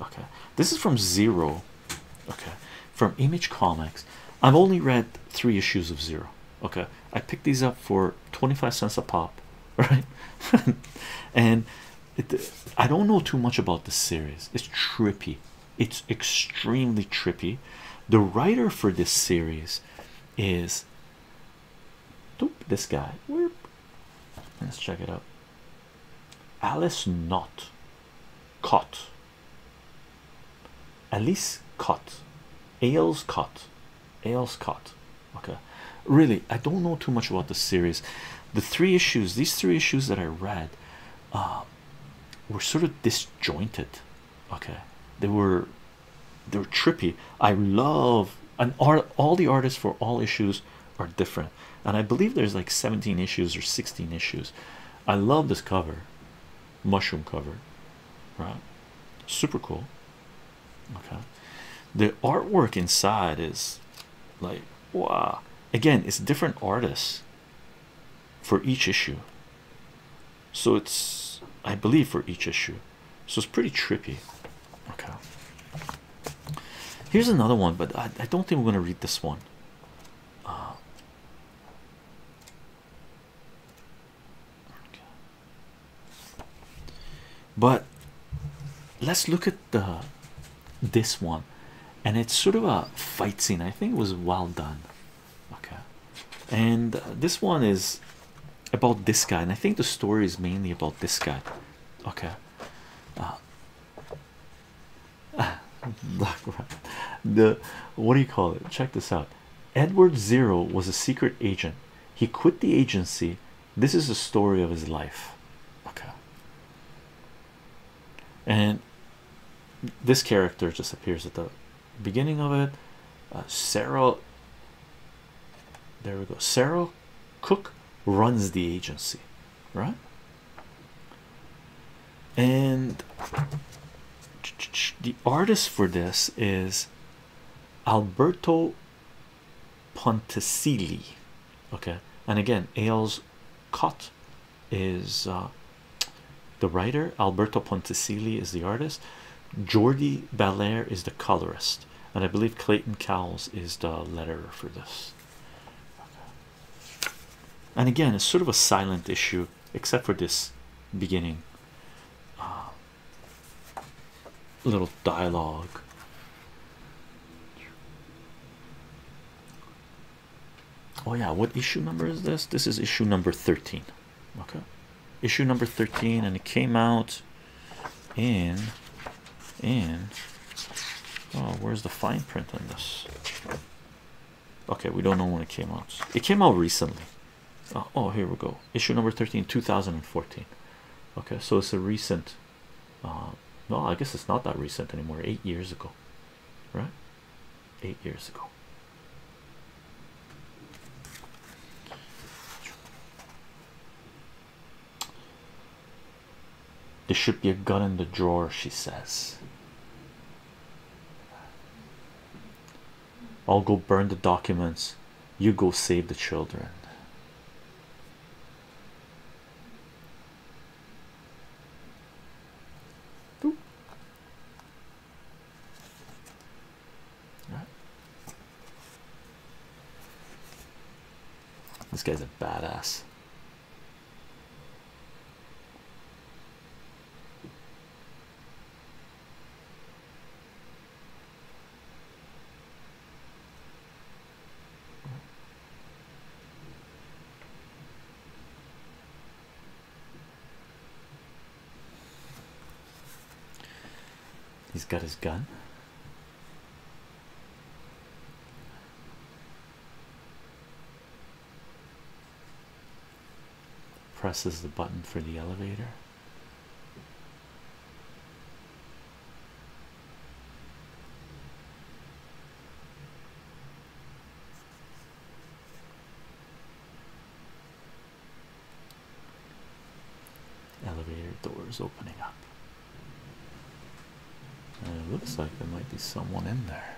Okay, this is from Zero. Okay, from Image Comics. I've only read three issues of Zero. Okay, I picked these up for 25 cents a pop, right? and it, I don't know too much about this series, it's trippy, it's extremely trippy. The writer for this series is this guy. Let's check it out. Alice Not Cot. Alice Cot. Ails Cot. Ailes Cot. Okay. Really, I don't know too much about this series. The three issues, these three issues that I read, uh, were sort of disjointed. Okay. They were they were trippy. I love and art all the artists for all issues are different and i believe there's like 17 issues or 16 issues i love this cover mushroom cover right super cool okay the artwork inside is like wow again it's different artists for each issue so it's i believe for each issue so it's pretty trippy okay Here's another one, but I, don't think we're going to read this one. Uh, but let's look at the this one, and it's sort of a fight scene. I think it was well done. Okay, and this one is about this guy, and I think the story is mainly about this guy. Okay, the what do you call it? Check this out. Edward Zero was a secret agent. He quit the agency. This is the story of his life. Okay. And this character just appears at the beginning of it. Uh, There we go. Sarah Cook runs the agency, right? And the artist for this is Alberto Ponticelli, okay. And again, Ailes Cott is uh, the writer, Alberto Ponticelli is the artist, Jordi Baller is the colorist, and I believe Clayton Cowles is the letterer for this and again it's sort of a silent issue except for this beginning uh, little dialogue oh yeah what issue number is this this is issue number 13 okay issue number 13 and it came out and and oh where's the fine print on this okay we don't know when it came out it came out recently oh, oh here we go issue number 13 2014 okay so it's a recent uh, no i guess it's not that recent anymore eight years ago right eight years ago there should be a gun in the drawer, she says. I'll go burn the documents, you go save the children. This guy's a badass. He's got his gun presses the button for the elevator. Elevator doors opening up it looks like there might be someone in there.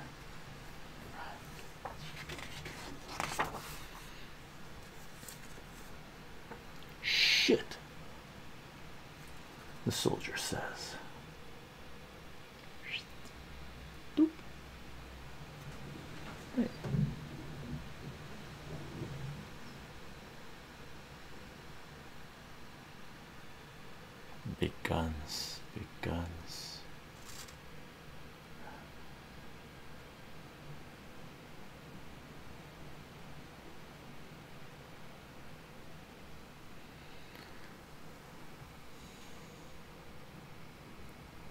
Shit, the soldier says. Big guns, big guns.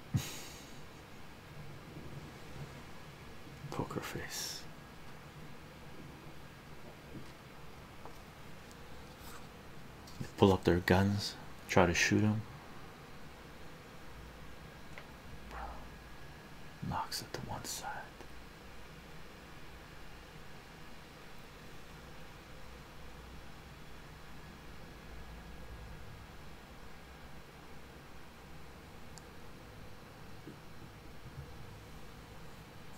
Poker face. They pull up their guns, try to shoot him. Knocks it to one side.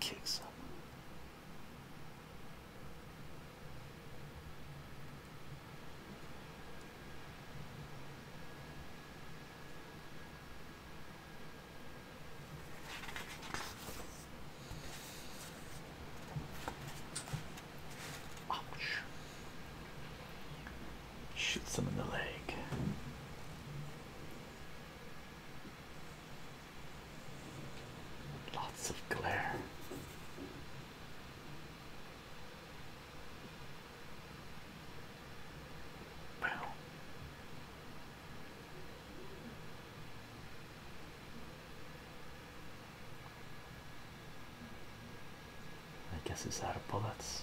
Kicks up. Ouch. Shoots him in the leg. Lots of glare. Wow. I guess it's out of bullets.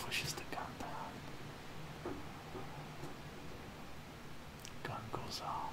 Pushes the gun down. Gun goes off.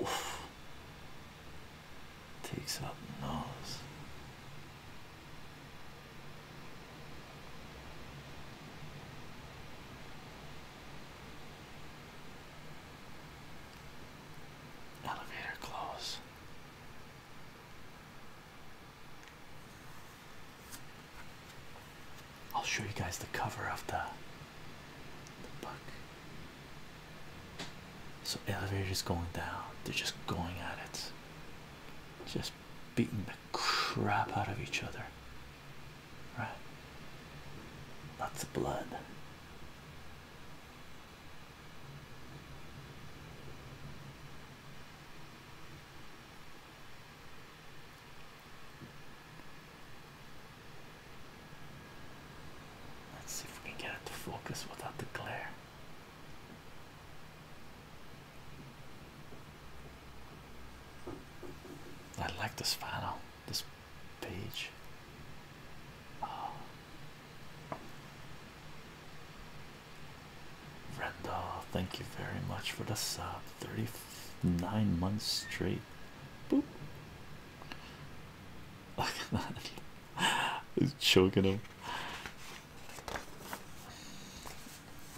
Oof. Takes up nose. Elevator close. I'll show you guys the cover of the the buck. So elevators going down. They're just going at it. Just beating the crap out of each other. Right? Lots of blood. Let's see if we can get it to focus without the glare. I like this final, this page. Oh. thank you very much for the sub. 39 months straight. Boop. Look at that. He's choking him.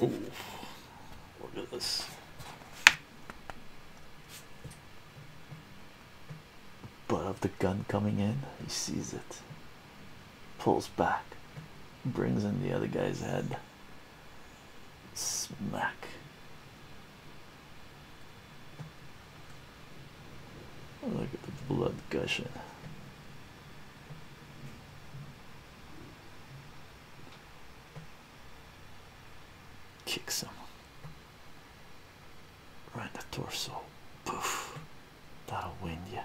Oh, look at this. But of the gun coming in, he sees it, pulls back, brings in the other guy's head. Smack. Look at the blood gushing. Kick someone. Run the torso. Poof. That'll wind you.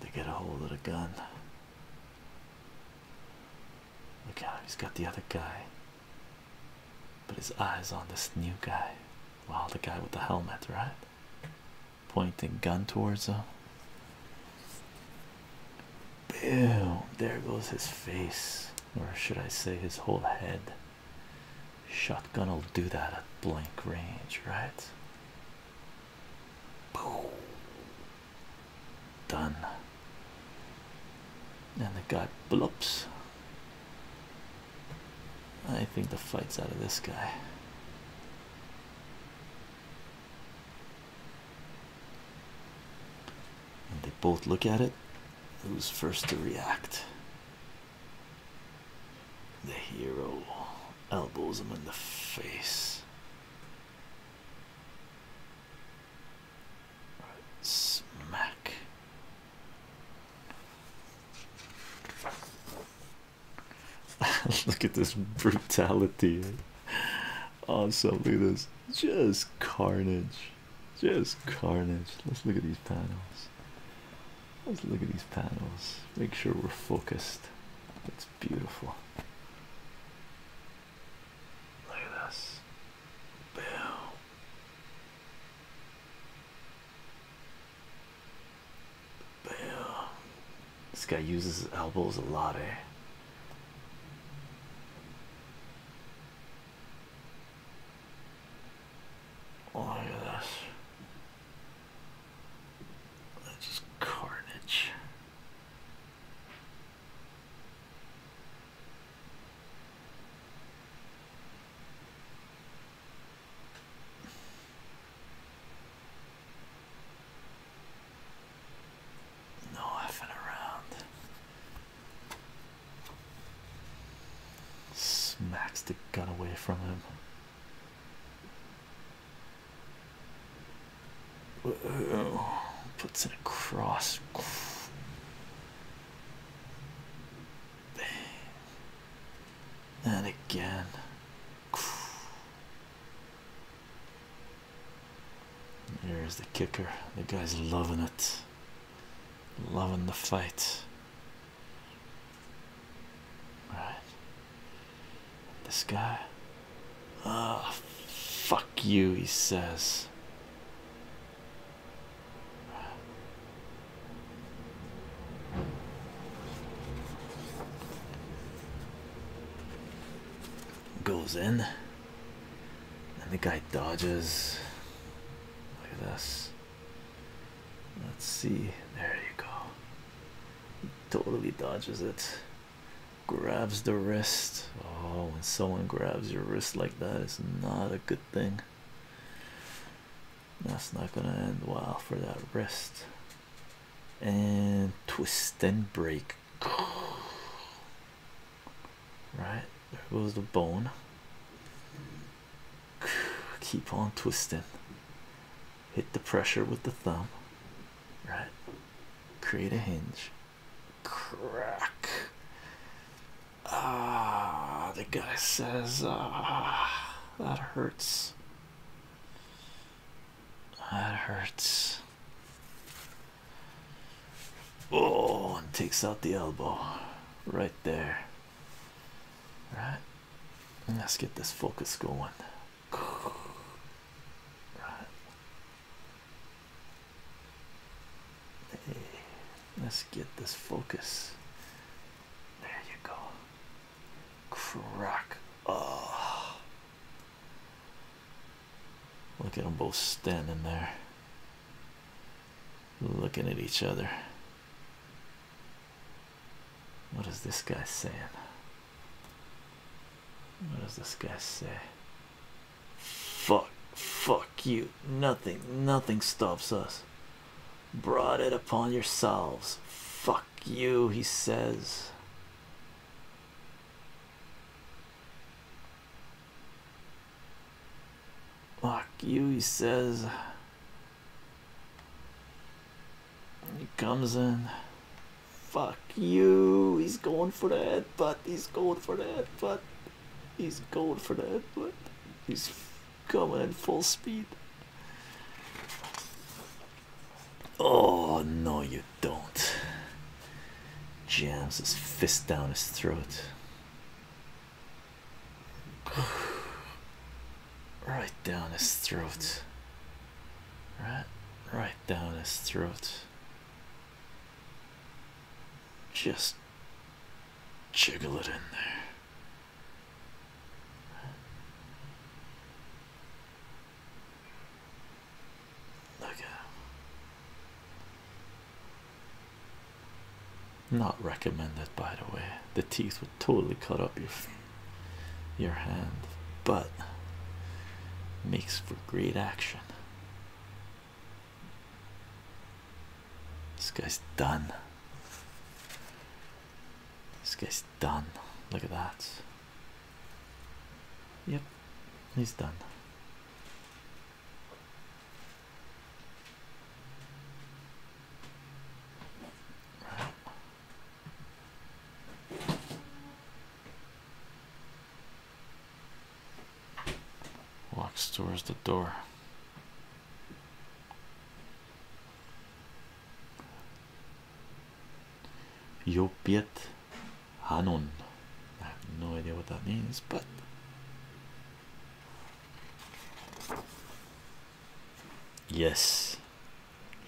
They get a hold of the gun. Look out! he's got the other guy, but his eyes on this new guy. Wow, the guy with the helmet, right? Pointing gun towards him. Boom! There goes his face, or should I say, his whole head. Shotgun will do that at blank range, right? Boom! done and the guy bloops I think the fight's out of this guy and they both look at it who's first to react the hero elbows him in the face Smack. Look at this brutality. Awesome. Look at this. Just carnage. Just carnage. Let's look at these panels. Let's look at these panels. Make sure we're focused. It's beautiful. Look at this. Boom. Boom. This guy uses his elbows a lot, eh? Oh, look at this. That's just carnage. No effing around. Smacks the gun away from him. Oh, puts it across. And again. There's the kicker. The guy's loving it. Loving the fight. All right. This guy. Ah, fuck you, he says. Goes in, and the guy dodges. Look at this. Let's see. There you go. totally dodges it grabs the wrist. Oh, when someone grabs your wrist like that, it's not a good thing. That's not gonna end well for that wrist. And twist and break. Right there goes the bone. Keep on twisting. Hit the pressure with the thumb. Right, create a hinge. Crack. Ah, the guy says, ah, that hurts. That hurts. Oh, and takes out the elbow right there. All right. Let's get this focus going. Right let's get this focus. There you go. Crack. Oh. Look at them both standing there. Looking at each other. What is this guy saying? What does this guy say? Fuck, fuck you. Nothing, nothing stops us. Brought it upon yourselves. Fuck you, he says. Fuck you, he says. He comes in. Fuck you, he's going for the but he's going for that, but he's going for that, but he's coming at full speed. Oh, no, you don't. Jams his fist down his throat. right down his throat. Right, right down his throat. Just jiggle it in there. not recommended by the way the teeth would totally cut up your your hand but makes for great action this guy's done. This guy's done. Look at that. Yep, he's done walks towards the door. Yopiet Hanun. I have no idea what that means, but yes,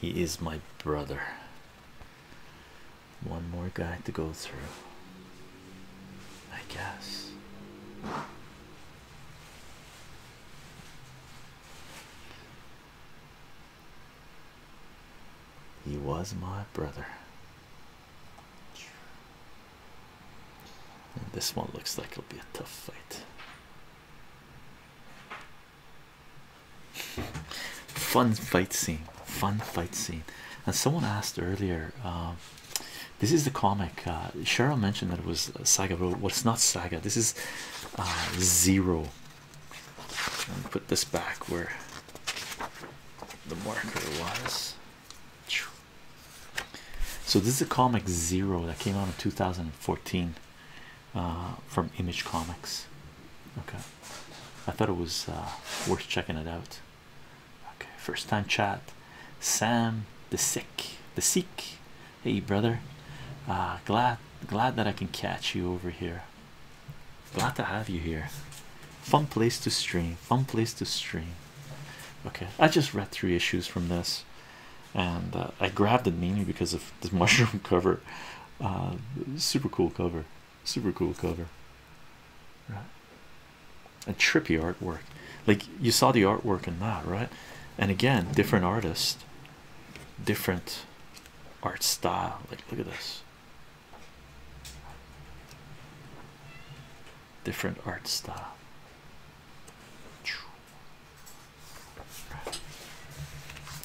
he is my brother. One more guy to go through, I guess. He was my brother. And this one looks like it'll be a tough fight. Fun fight scene fun fight scene. And someone asked earlier, um, this is the comic. Uh, Cheryl mentioned that it was Saga but what's not Saga. This is uh, Zero. Let me put this back where the marker was. So this is a comic Zero that came out in 2014 uh, from Image Comics. Okay, I thought it was worth checking it out. Okay, first time chat. Sam the sick, the sick. Hey brother. Uh glad glad that I can catch you over here. Glad to have you here. Fun place to stream. Fun place to stream. Okay, I just read three issues from this, and uh, I grabbed the mini because of this mushroom cover. Uh, super cool cover. Super cool cover, right? A trippy artwork, like you saw the artwork in that, right? And again, different artists, different art style. Like, look at this different art style.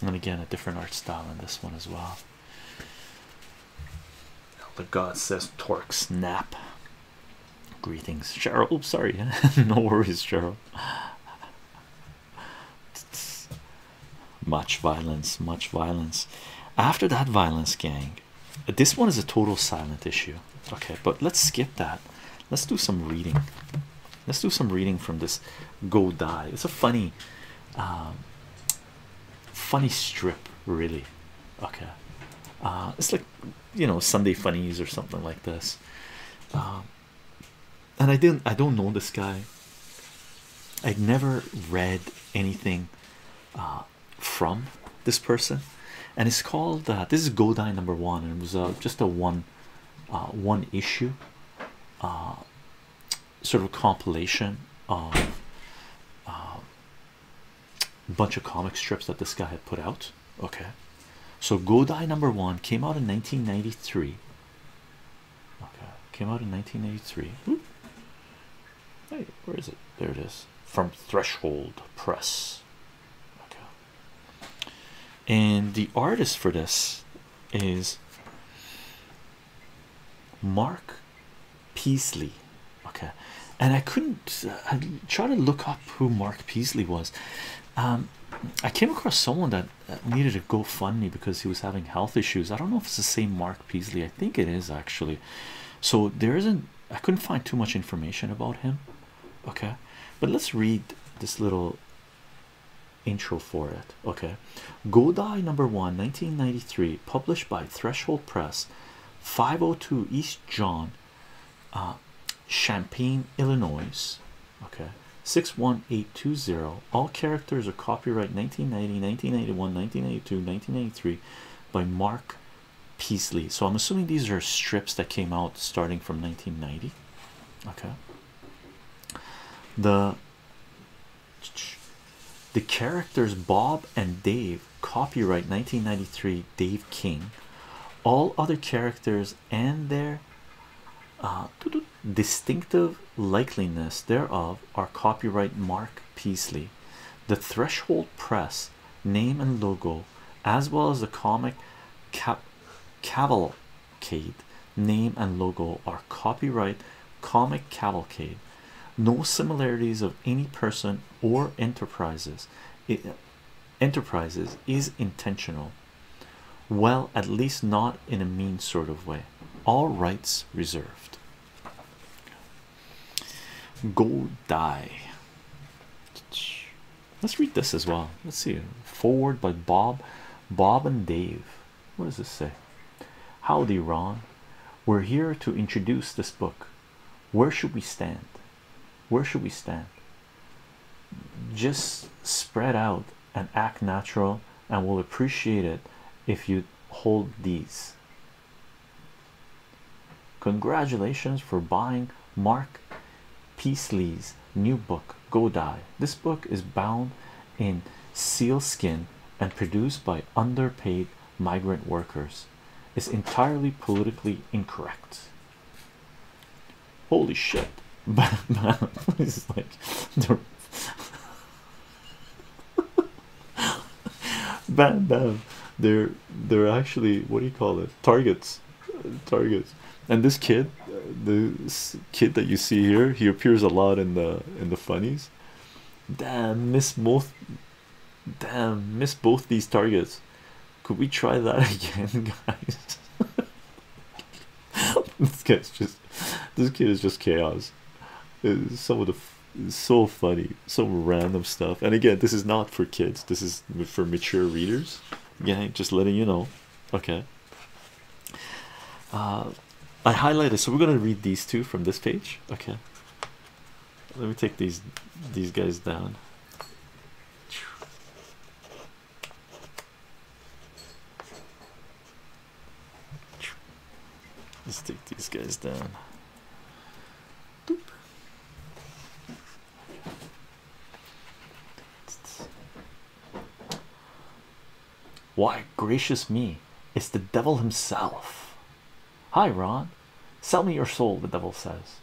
And again, a different art style in this one as well. The god says torque snap. Greetings, Cheryl. sorry. no worries, Cheryl. much violence, much violence. After that violence, gang, this one is a total silent issue. Okay, but let's skip that. Let's do some reading. Let's do some reading from this Go Die. It's a funny um, funny strip, really. Okay, uh, it's like you know Sunday funnies or something like this. Um, and I didn't. I don't know this guy. I'd never read anything uh, from this person, and it's called. Uh, this is Godai number one, and it was just a one, one issue, sort of compilation of bunch of comic strips that this guy had put out. Okay, so Godai number one came out in 1993. Okay, came out in 1993. Hmm. Hey, where is it? There it is from Threshold Press. Okay, and the artist for this is Mark Peasley. Okay, and I couldn't uh, try to look up who Mark Peasley was. Um, I came across someone that uh, needed a GoFundMe because he was having health issues. I don't know if it's the same Mark Peasley. I think it is actually. So there isn't. I couldn't find too much information about him. Okay, but let's read this little intro for it. Okay, Godai number one, 1993, published by Threshold Press. 502 East John, uh, Champaign, Illinois. Okay, 61820. All characters are copyright 1990, 1981, 1982, 1983 by Mark Peasley. So I'm assuming these are strips that came out starting from 1990. Okay. The the characters Bob and Dave copyright 1993 Dave King. All other characters and their uh, distinctive likeliness thereof are copyright Mark Peasley. The Threshold Press name and logo, as well as the comic Cavalcade name and logo, are copyright Comic Cavalcade. No similarities of any person or enterprises enterprises is intentional well at least not in a mean sort of way all rights reserved go die let's read this as well let's see forward by bob bob and dave what does this say howdy ron we're here to introduce this book where should we stand? Where should we stand? Just spread out and act natural, and we'll appreciate it if you hold these. Congratulations for buying Mark Peasley's new book, Go Die. This book is bound in sealskin and produced by underpaid migrant workers is entirely politically incorrect. Holy shit! this bam bam they're they're actually what do you call it targets targets and this kid this kid that you see here he appears a lot in the in the funnies damn miss most Damn, missed both these targets. Could we try that again, guys? this guy's just this kid is just chaos. Some of the so funny, some random stuff. And again, this is not for kids, this is for mature readers. Yeah, just letting you know. Okay. Uh, I highlighted, so we're gonna read these two from this page. Okay. Let me take these these guys down. Let's take these guys down. Why, gracious me, it's the devil himself. Hi, Ron. Sell me your soul, the devil says.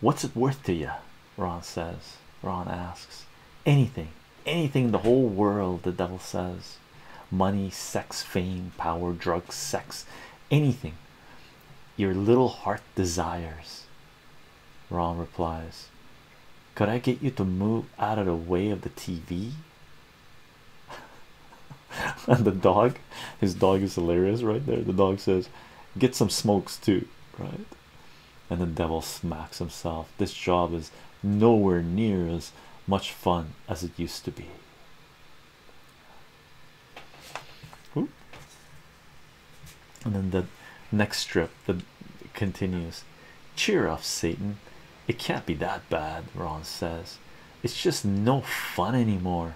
What's it worth to you? Ron says. Ron asks. Anything, anything in the whole world, the devil says. Money, sex, fame, power, drugs, sex, anything your little heart desires. Ron replies. Could I get you to move out of the way of the TV? and the dog, his dog is hilarious right there. The dog says, Get some smokes too, right? And the devil smacks himself. This job is nowhere near as much fun as it used to be. Ooh. And then the next strip the continues. Cheer up, Satan. It can't be that bad, Ron says. It's just no fun anymore.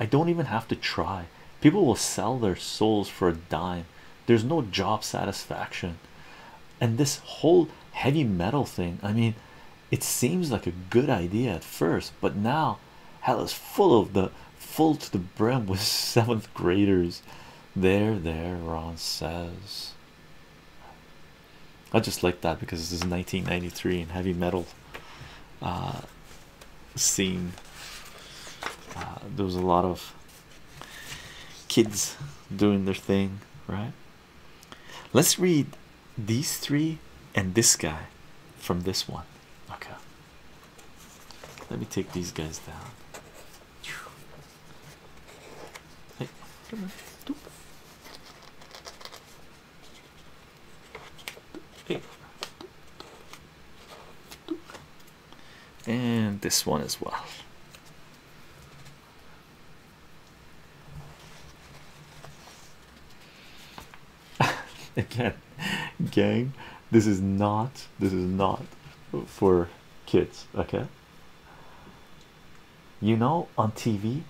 I don't even have to try. People will sell their souls for a dime. There's no job satisfaction. And this whole heavy metal thing, I mean, it seems like a good idea at first, but now hell is full of the full to the brim with seventh graders. There, there, Ron says. I just like that because this is 1993 and heavy metal uh, scene. Uh, there was a lot of kids doing their thing, right? Let's read these three and this guy from this one. Okay. Let me take these guys down and this one as well. Again, gang, this is not this is not for kids, okay? You know, on TV,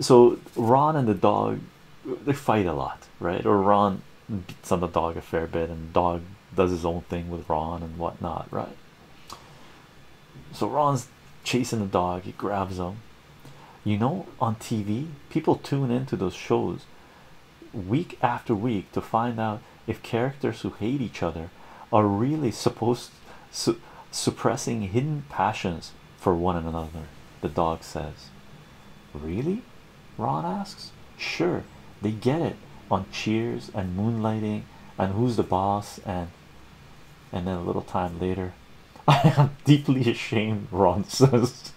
so Ron and the dog they fight a lot, right? Or Ron beats on the dog a fair bit, and dog does his own thing with Ron and whatnot, right? So Ron's chasing the dog, he grabs him. You know, on TV, people tune into those shows week after week to find out if characters who hate each other are really supposed suppressing hidden passions for one another, the dog says. Really? Ron asks. Sure, they get it on Cheers and Moonlighting and Who's the Boss and and then a little time later, I am deeply ashamed, Ron says.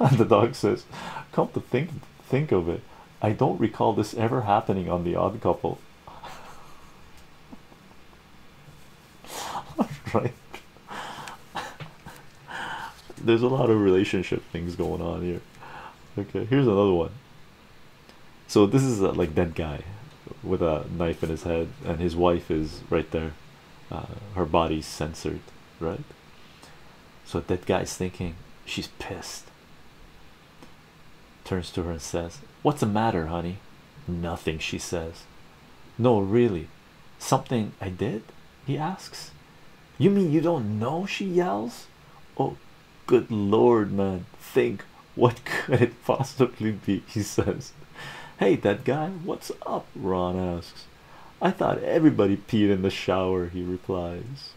and the dog says, Come to think think of it, I don't recall this ever happening on the odd couple. right? There's a lot of relationship things going on here. Okay, here's another one. So this is like that guy with a knife in his head, and his wife is right there. Uh, her body's censored, right? So that guy's thinking she's pissed. Turns to her and says, "What's the matter, honey?" Nothing, she says. No, really. Something I did? He asks. You mean you don't know? She yells. Oh, good lord, man. Think what could it possibly be? He says. Hey, that guy, what's up? Ron asks. I thought everybody peed in the shower, he replies.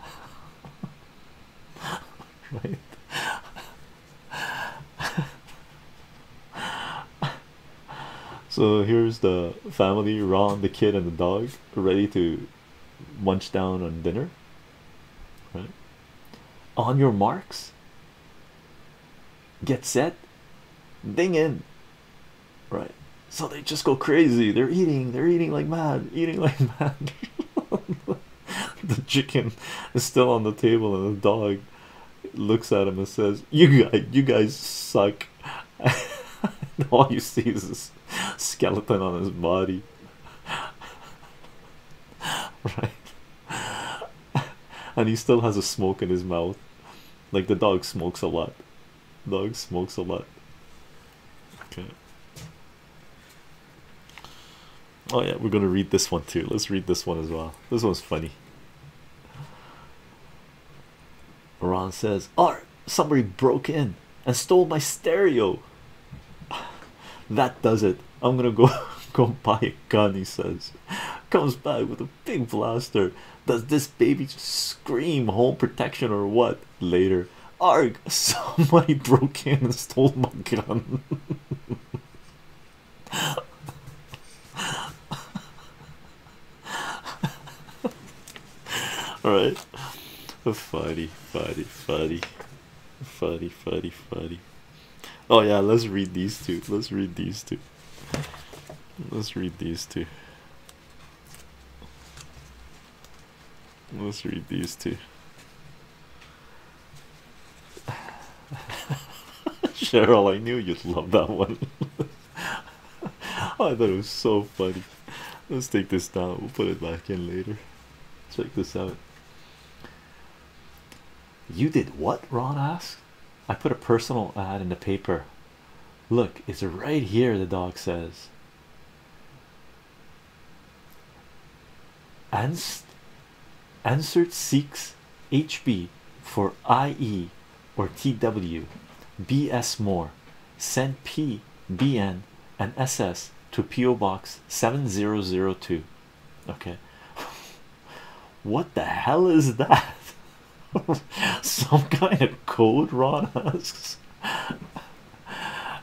right? so here's the family Ron, the kid, and the dog ready to munch down on dinner. Right on your marks, get set, ding in. Right, so they just go crazy. They're eating, they're eating like mad, eating like mad. the chicken is still on the table, and the dog looks at him and says, "You guys, you guys suck." all you see is a skeleton on his body, right? and he still has a smoke in his mouth. Like the dog smokes a lot. Dog smokes a lot. Okay. Oh yeah, we're gonna read this one too. Let's read this one as well. This one's funny. Ron says, Art, somebody broke in and stole my stereo. that does it. I'm gonna go go buy a gun, he says. Comes back with a big blaster. Does this baby scream home protection or what? Later, Arg, somebody broke in and stole my gun. Alright. Funny, funny, funny. Funny, funny, funny. Oh yeah, let's read these two. Let's read these two. Let's read these two. Let's read these two. Cheryl, I knew you'd love that one. I thought it was so funny. Let's take this down, we'll put it back in later. Check this out. You did what? Ron asked. I put a personal ad in the paper. Look, it's right here, the dog says. Anst answered seeks HB for IE or TW BS more send P BN and SS to PO box 7002 okay what the hell is that some kind of code Ron asks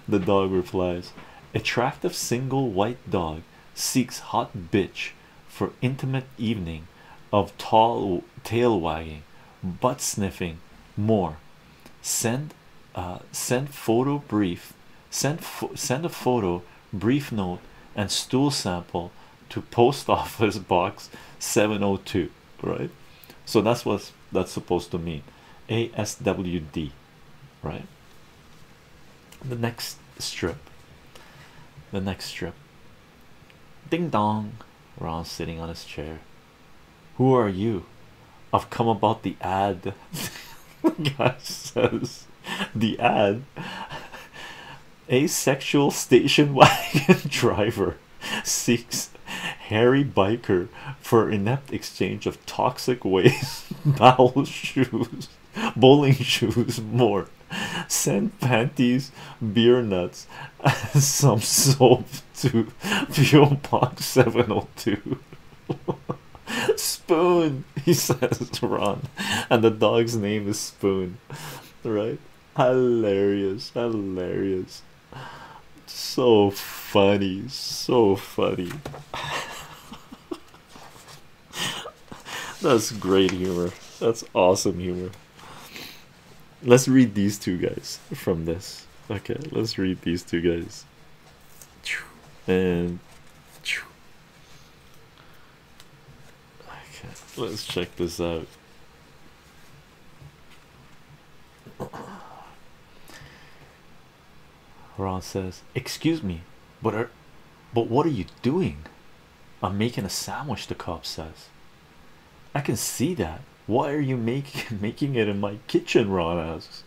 the dog replies attractive single white dog seeks hot bitch for intimate evening of tall tail wagging, butt sniffing, more. Send, uh, send photo brief, send send a photo, brief note, and stool sample to post office box 702. Right, so that's what that's supposed to mean. ASWD, right? The next strip, the next strip Ding dong, Ron sitting on his chair. Who are you? I've come about the ad. the guy says, The ad. Asexual station wagon driver seeks hairy biker for inept exchange of toxic waste, bowel shoes. bowling shoes, more sand panties, beer nuts, some soap to P.O. Box 702. Spoon, he says run, and the dog's name is Spoon, right? Hilarious, hilarious, so funny, so funny. That's great humor. That's awesome humor. Let's read these two guys from this. Okay, let's read these two guys. And let's check this out. Ron says, "Excuse me, but are, but what are you doing?" I'm making a sandwich, the cop says. I can see that. Why are you making making it in my kitchen? Ron asks.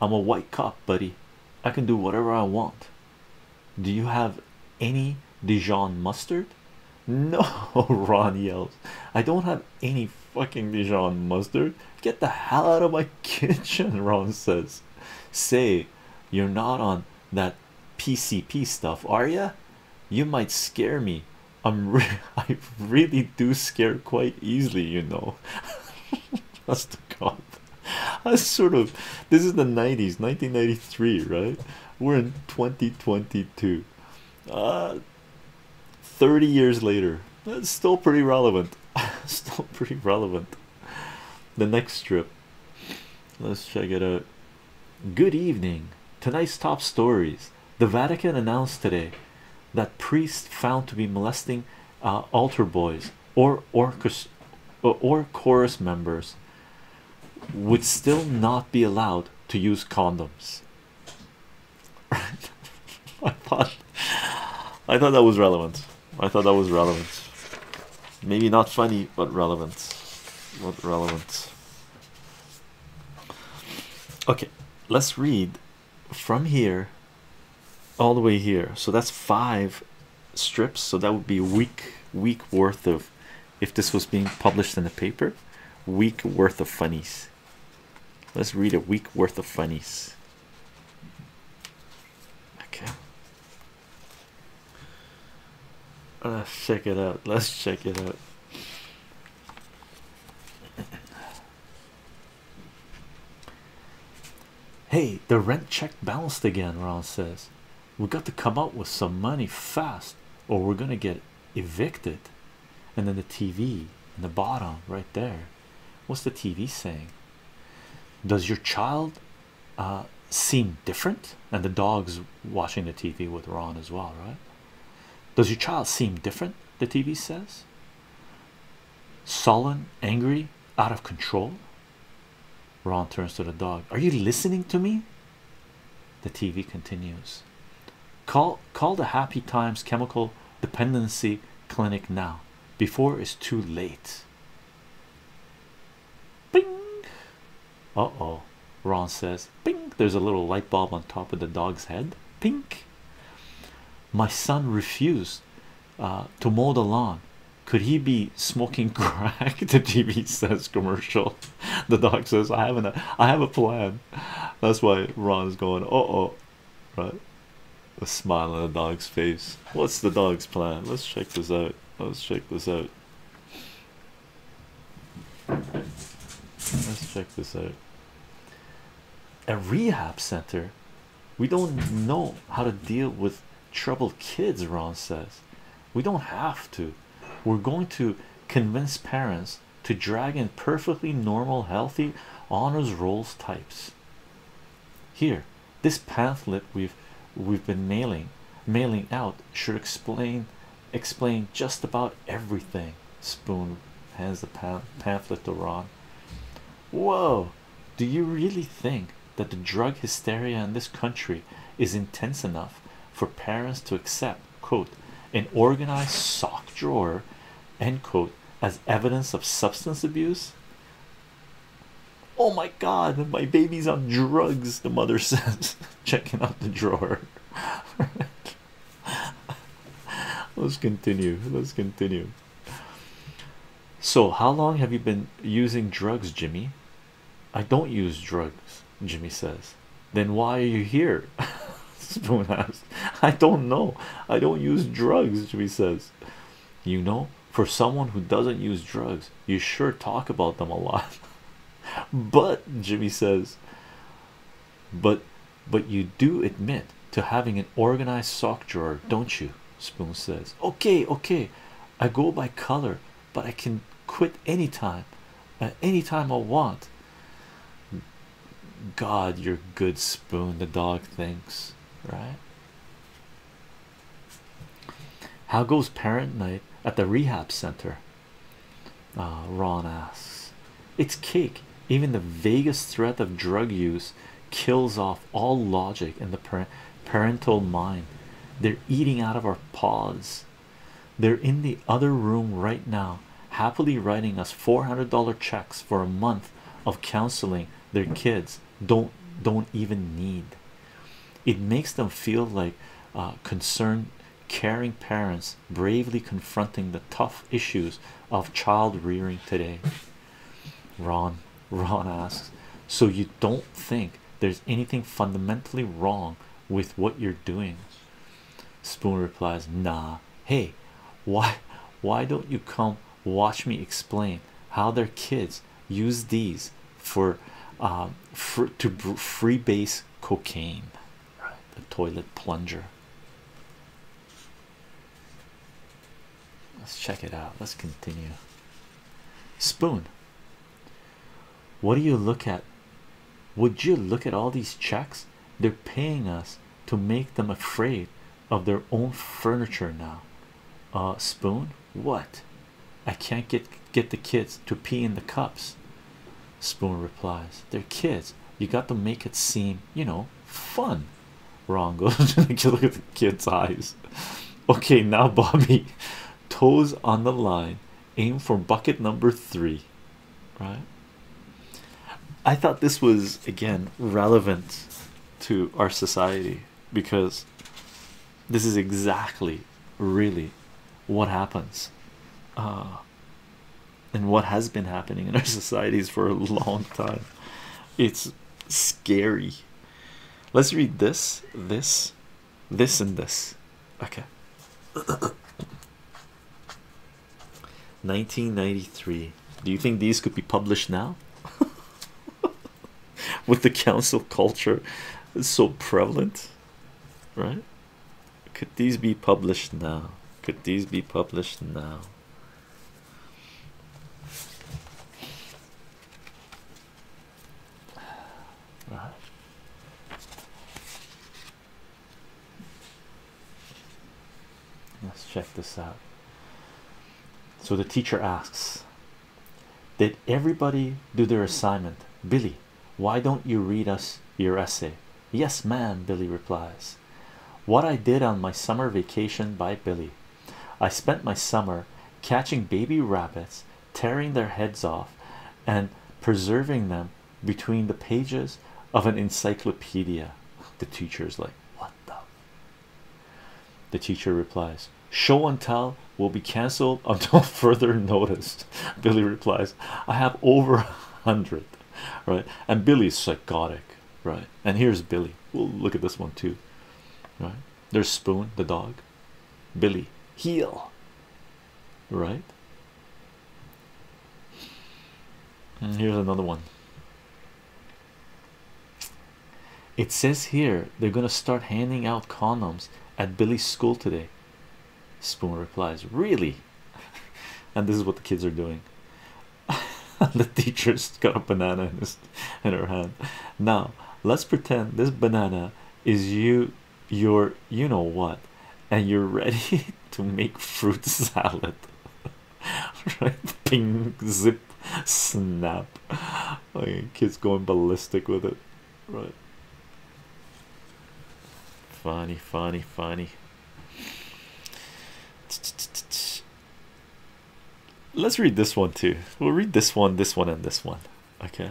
I'm a white cop, buddy. I can do whatever I want. Do you have any Dijon mustard? No, Ron yells. I don't have any fucking Dijon mustard. Get the hell out of my kitchen, Ron says. Say, you're not on that PCP stuff, are you? You might scare me. I'm re I really do scare quite easily, you know. That's god. I sort of this is the 90s, 1993, right? We're in 2022. Uh 30 years later. That's still pretty relevant. still pretty relevant. The next strip. Let's check it out. Good evening. Tonight's top stories. The Vatican announced today that priests found to be molesting uh, altar boys or chorus members would still not be allowed to use condoms. I thought I thought that was relevant. I thought that was relevant. Maybe not funny, but relevant. What relevant? Okay, let's read from here all the way here. So that's five strips. So that would be week week worth of if this was being published in a paper, week worth of funnies. Let's read a week worth of funnies. Okay. Let's check it out. Let's check it out. Hey, the rent check bounced again, Ron says. We got to come up with some money fast, or we're gonna get evicted. And then the TV in the bottom right there. What's the TV saying? Does your child uh, seem different? And the dog's watching the TV with Ron as well, right? Does your child seem different? The TV says, sullen, angry, out of control. Ron turns to the dog. Are you listening to me? The TV continues. Call call the Happy Times Chemical Dependency Clinic now before it's too late. Bing! Uh oh, Ron says, Bing! There's a little light bulb on top of the dog's head. Pink! My son refused uh, to mow the lawn. Could he be smoking crack? The TV says commercial. The dog says, I have, an, I have a plan. That's why Ron is going, uh oh, right? A smile on the dog's face. What's the dog's plan? Let's check this out. Let's check this out. Let's check this out. A rehab center. We don't know how to deal with troubled kids, Ron says. We don't have to. We're going to convince parents to drag in perfectly normal, healthy honors rolls types. Here, this pamphlet we've we've been mailing mailing out should explain explain just about everything. Spoon hands the pamphlet to Ron. Whoa, do you really think that the drug hysteria in this country is intense enough for parents to accept, quote, an organized sock drawer, end quote, as evidence of substance abuse? Oh my god, my baby's on drugs, the mother says. checking out the drawer. let's continue. Let's continue. So, how long have you been using drugs, Jimmy? I don't use drugs, Jimmy says. Then why are you here? Spoon asks. I don't know. I don't use drugs, Jimmy says. You know, for someone who doesn't use drugs, you sure talk about them a lot. But Jimmy says, but but you do admit to having an organized sock drawer, don't you? Spoon says, okay, okay, I go by color, but I can quit any time, uh, any time I want. God, you're good, Spoon. The dog thinks, right? How goes parent night at the rehab center? Ah, Ron asks, It's cake. Even the vaguest threat of drug use kills off all logic in the parental mind. They're eating out of our paws. They're in the other room right now, happily writing us $400 checks for a month of counseling their kids don't don't even need. It makes them feel like uh, concerned caring parents bravely confronting the tough issues of child rearing today. Ron Ron asks, So you don't think there's anything fundamentally wrong with what you're doing? Spoon replies, Nah, hey, why why don't you come watch me explain how their kids use these for um, for to free base cocaine, The toilet plunger. Let's check it out. Let's continue. Spoon. What do you look at? Would you look at all these checks? They're paying us to make them afraid of their own furniture now. Uh, spoon, what? I can't get get the kids to pee in the cups. Spoon replies, They're kids. You got to make it seem, you know, fun. Wrong look at the kid's eyes. Okay, now Bobby, toes on the line, aim for bucket number three. Right? I thought this was again relevant to our society because this is exactly really what happens uh, and what has been happening in our societies for a long time. It's scary. Let's read this, this, this, and this. Okay. 1993. Do you think these could be published now? With the council culture so prevalent, right? Could these be published now? Could these be published now? Let's check this out. So the teacher asks, Did everybody do their assignment? Billy, why don't you read us your essay? Yes, ma'am, Billy replies. What I did on my summer vacation by Billy. I spent my summer catching baby rabbits, tearing their heads off, and preserving them between the pages of an encyclopedia. The teacher is like, What the? The teacher replies, Show and tell will be cancelled until further notice. Billy replies, I have over a hundred, right? And Billy's psychotic, right? And here's Billy. We'll look at this one too, right? There's Spoon, the dog, Billy, heel, right? And here's another one. It says here they're gonna start handing out condoms at Billy's school today. Spoon replies, Really? and this is what the kids are doing. the teacher's got a banana in, his, in her hand. Now, let's pretend this banana is you, your you know what, and you're ready to make fruit salad. right? Ping, zip, snap. Okay, kids going ballistic with it right funny funny funny let's read this one too we'll read this one this one and this one okay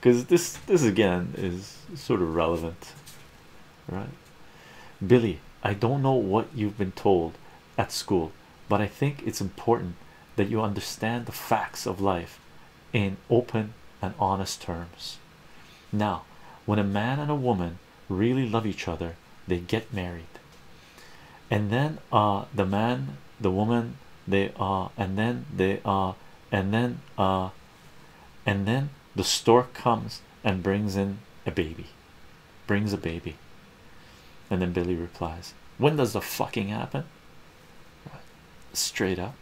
because this this again is sort of relevant right Billy I don't know what you've been told at school but I think it's important that you understand the facts of life in open and honest terms. Now, when a man and a woman really love each other, they get married, and then uh, the man, the woman, they are, uh, and then they are, uh, and then uh, and then the stork comes and brings in a baby, brings a baby, and then Billy replies, "When does the fucking happen?" Straight up,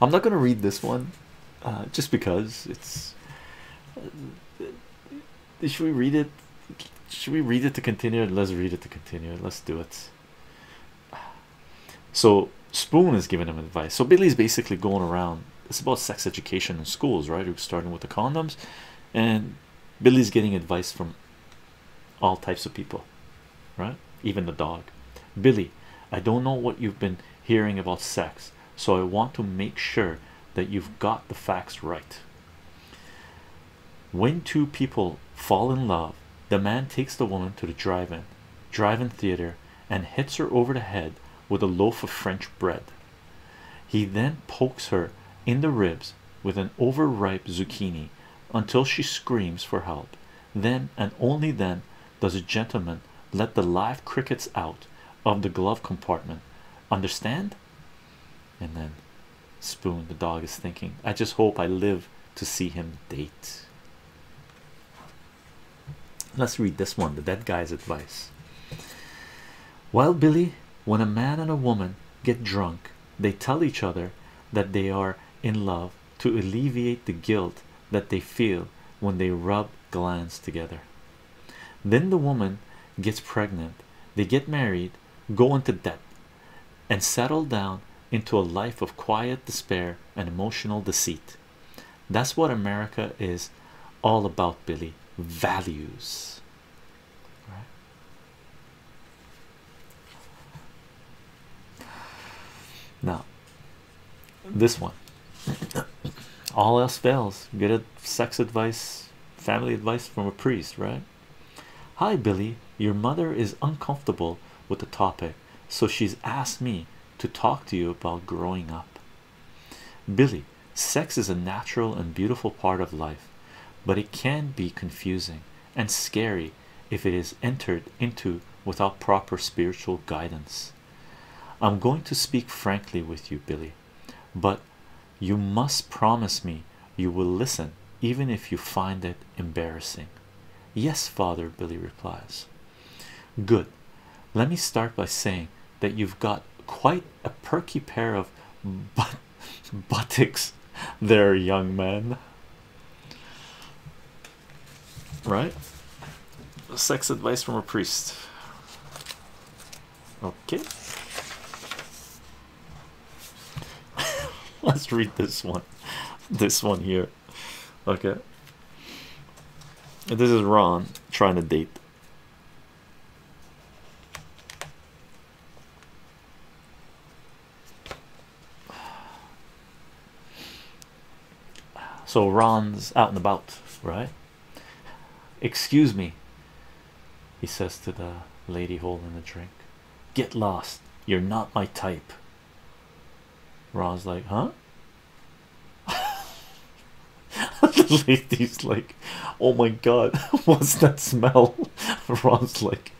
I'm not going to read this one uh, just because it's. Uh, should we read it? Should we read it to continue? Let's read it to continue. Let's do it. So, Spoon is giving him advice. So, Billy's basically going around. It's about sex education in schools, right? We're starting with the condoms. And Billy's getting advice from all types of people, right? Even the dog. Billy, I don't know what you've been hearing about sex, so I want to make sure that you've got the facts right. When two people fall in love, the man takes the woman to the drive-in, drive-in theater, and hits her over the head with a loaf of French bread. He then pokes her in the ribs with an overripe zucchini until she screams for help then and only then does a gentleman let the live crickets out of the glove compartment. Understand? And then Spoon, the dog is thinking, I just hope I live to see him date. Let's read this one, the dead guy's advice. Well, Billy, when a man and a woman get drunk, they tell each other that they are in love to alleviate the guilt that they feel when they rub glands together. Then the woman gets pregnant, they get married, go into debt, and settle down into a life of quiet despair and emotional deceit. That's what America is all about, Billy. Values. Right? Now, this one, all else fails. Get a sex advice, family advice from a priest, right? Hi, Billy. Your mother is uncomfortable with the topic, so she's asked me to talk to you about growing up. Billy, sex is a natural and beautiful part of life, but it can be confusing and scary if it is entered into without proper spiritual guidance. I'm going to speak frankly with you, Billy, but you must promise me you will listen even if you find it embarrassing. Yes, father, Billy replies. Good. Let me start by saying that you've got quite a perky pair of but buttocks there, young man. Right? Sex advice from a priest. Okay. Let's read this one. This one here. Okay. This is Ron trying to date. So Ron's out and about, right? Excuse me, he says to the lady holding the drink. Get lost, you're not my type. Ron's like, huh? the lady's like, oh my god, what's that smell? Ron's like,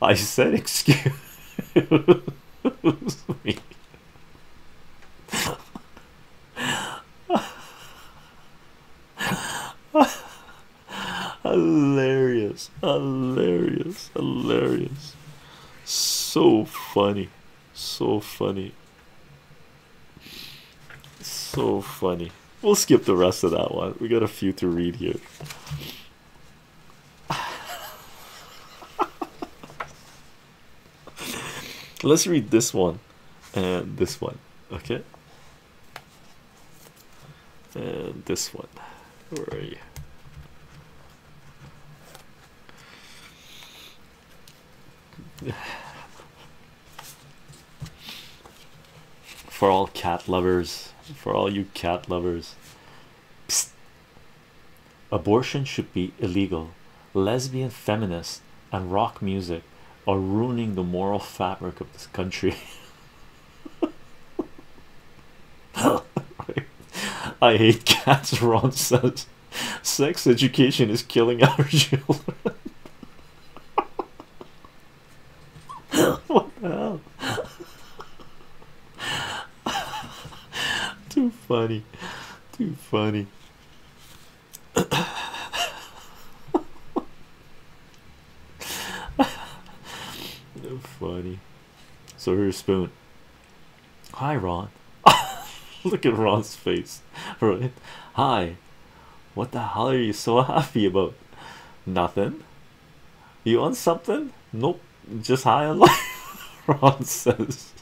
I said, excuse. hilarious, hilarious, hilarious. So funny, so funny, so funny. We'll skip the rest of that one. We got a few to read here. Let's read this one and this one, okay? And this one. Where are you? For all cat lovers, for all you cat lovers, Abortion should be illegal. Lesbian feminists and rock music are ruining the moral fabric of this country. I hate cats, Ron says. Sex education is killing our children. what the hell? too funny, too funny. funny. So here's Spoon. Hi, Ron. Look at Ron's face. Right. Hi. What the hell are you so happy about? Nothing. You want something? Nope just high on life. Ron says,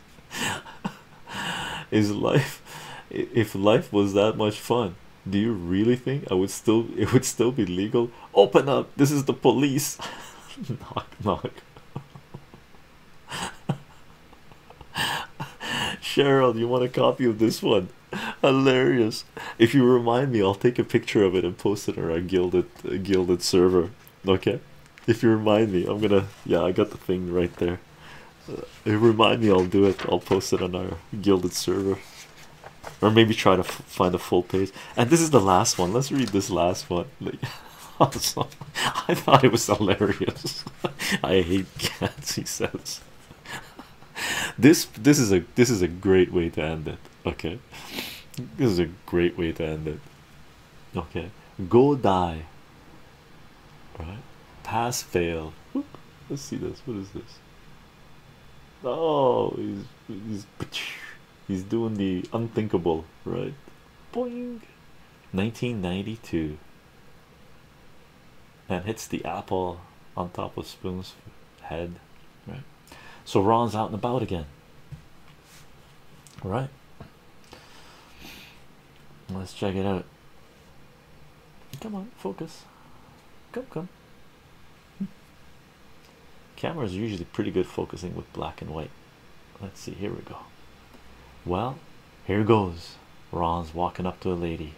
"Is life? If life was that much fun, do you really think I would still? It would still be legal? Open up! This is the police! knock knock." Cheryl, you want a copy of this one? Hilarious! If you remind me, I'll take a picture of it and post it on our gilded gilded server. Okay, if you remind me, I'm gonna. Yeah, I got the thing right there. Uh, if remind me, I'll do it. I'll post it on our gilded server, or maybe try to find a full page. And this is the last one. Let's read this last one. awesome. I thought it was hilarious. I hate cats. He says. This this is a this is a great way to end it. Okay, this is a great way to end it okay go die right pass fail let's see this what is this oh he's he's he's doing the unthinkable right boing 1992 and hits the apple on top of spoon's head right so Ron's out and about again. All right. Let's check it out. Come on, focus. Come, come. Cameras are usually pretty good focusing with black and white. Let's see, here we go. Well, here goes. Ron's walking up to a lady,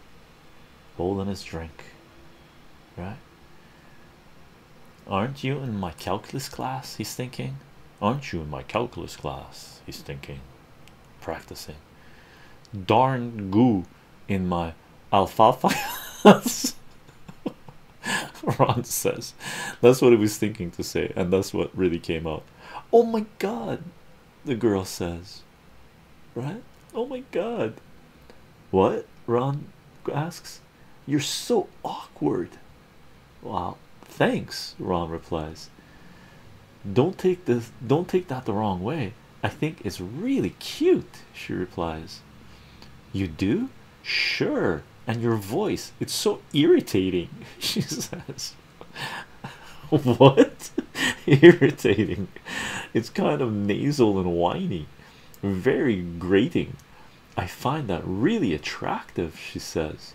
holding his drink. Right? Aren't you in my calculus class? He's thinking. Aren't you in my calculus class? He's thinking. Practicing. Darn goo in my alfalfa. Ron says that's what he was thinking to say, and that's what really came out. Oh my god, the girl says, right? Oh my god, what Ron asks? You're so awkward. Well, thanks, Ron replies. Don't take this, don't take that the wrong way. I think it's really cute, she replies. You do? Sure, and your voice, it's so irritating, she says. What irritating? It's kind of nasal and whiny, very grating. I find that really attractive, she says.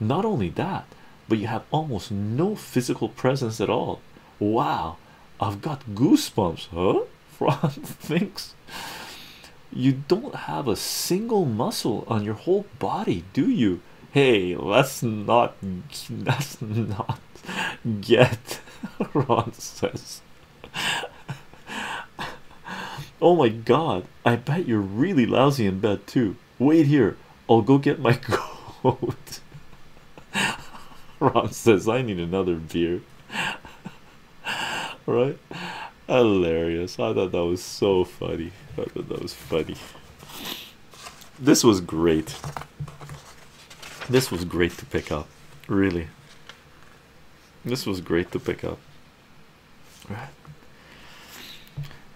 Not only that, but you have almost no physical presence at all. Wow, I've got goosebumps, huh? Fran thinks you don't have a single muscle on your whole body, do you? Hey, let's not let's not get Ron says. Oh my god, I bet you're really lousy in bed too. Wait here, I'll go get my coat. Ron says, I need another beer. right? Hilarious. I thought that was so funny. I thought that was funny. This was great. This was great to pick up. Really. This was great to pick up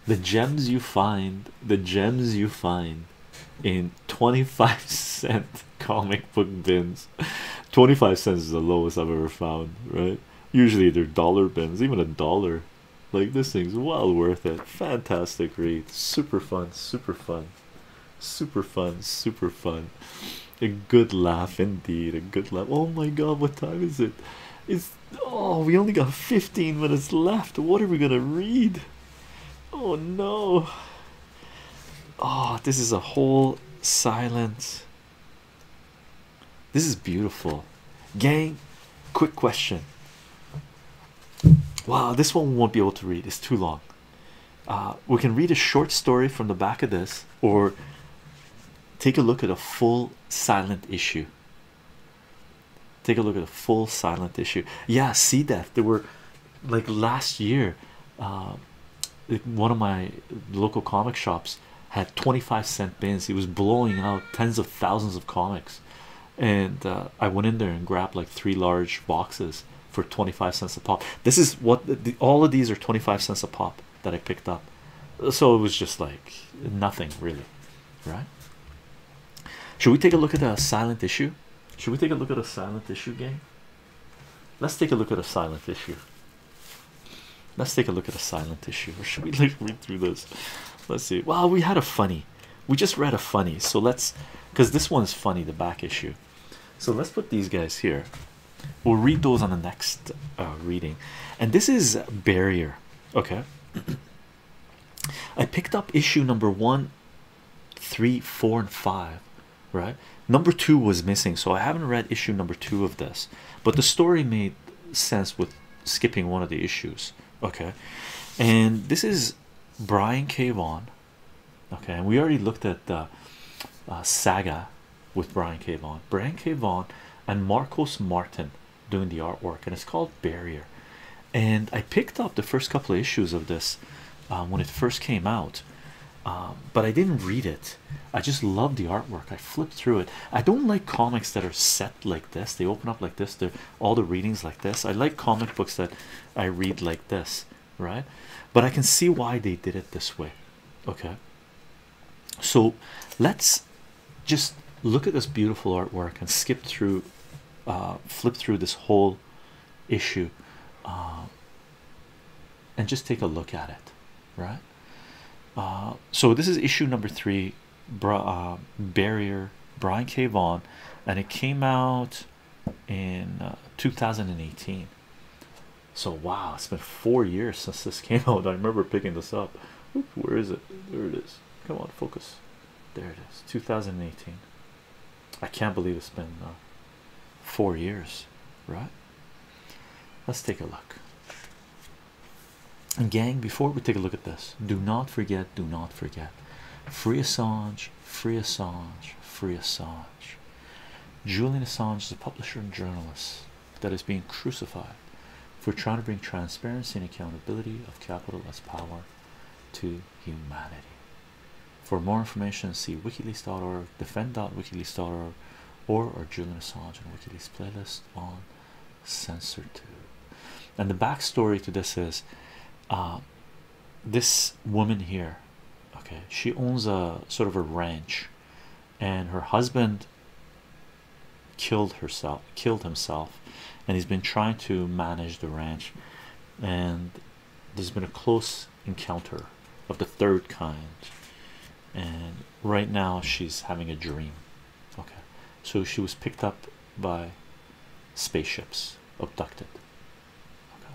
the gems you find the gems you find in 25 cent comic book bins 25 cents is the lowest i've ever found right usually they're dollar bins even a dollar like this thing's well worth it fantastic read super fun super fun super fun super fun a good laugh indeed a good laugh oh my god what time is it it's oh, we only got 15 minutes left. What are we gonna read? Oh no! Oh, this is a whole silence. This is beautiful, gang. Quick question. Wow, this one we won't be able to read, it's too long. Uh, we can read a short story from the back of this, or take a look at a full silent issue. Take a look at a full silent issue. Yeah, see that there were like last year, um, one of my local comic shops had 25 cent bins, he was blowing out tens of thousands of comics. And uh, I went in there and grabbed like three large boxes for 25 cents a pop. This is what all of these are 25 cents a pop that I picked up. So it was just like nothing really, right? Should we take a look at a silent issue? Should we take a look at a silent issue game? Let's take a look at a silent issue. Let's take a look at a silent issue. Or should we read through this? Let's see. Well, we had a funny. We just read a funny. So let's, because this one's funny, the back issue. So let's put these guys here. We'll read those on the next uh, reading. And this is Barrier. Okay. I picked up issue number one, three, four, and five. Right. Number two was missing, so I haven't read issue number two of this. But the story made sense with skipping one of the issues. Okay. And this is Brian K. Vaughan. Okay, and we already looked at the uh, saga with Brian K. Vaughan, Brian K. Vaughan, and Marcos Martin doing the artwork, and it's called Barrier. And I picked up the first couple of issues of this um, when it first came out, um, but I didn't read it. I just love the artwork. I flipped through it. I don't like comics that are set like this. They open up like this. They're all the readings like this. I like comic books that I read like this, right? But I can see why they did it this way. Okay, so let's just look at this beautiful artwork and skip through, uh, flip through this whole issue, uh, and just take a look at it, right? Uh, so this is issue number three, Barrier, Brian K. Vaughan, and it came out in 2018. So wow, it's been four years since this came out. I remember picking this up where is it? There it is. Come on, focus. There it is. 2018. I can't believe it's been uh, four years, right? Let's take a look. And gang, before we take a look at this, do not forget, do not forget. Free Assange, free Assange, free Assange. Julian Assange is a publisher and journalist that is being crucified for trying to bring transparency and accountability of capital as power to humanity. For more information, see wikileaks.org, defend.wikileaks.org, or our Julian Assange WikiLeaks playlist on CensorTube. And the backstory to this is uh, this woman here, okay, she owns a sort of a ranch and her husband killed herself killed himself and he's been trying to manage the ranch and there's been a close encounter of the third kind and right now she's having a dream okay so she was picked up by spaceships abducted okay.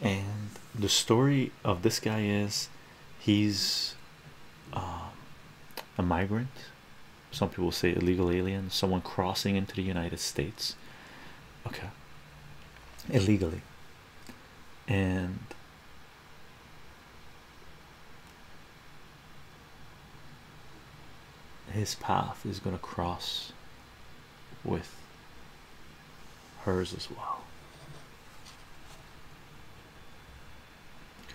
and the story of this guy is he's um, a migrant some people say illegal alien, someone crossing into the United States, okay, illegally, and his path is going to cross with hers as well. Okay.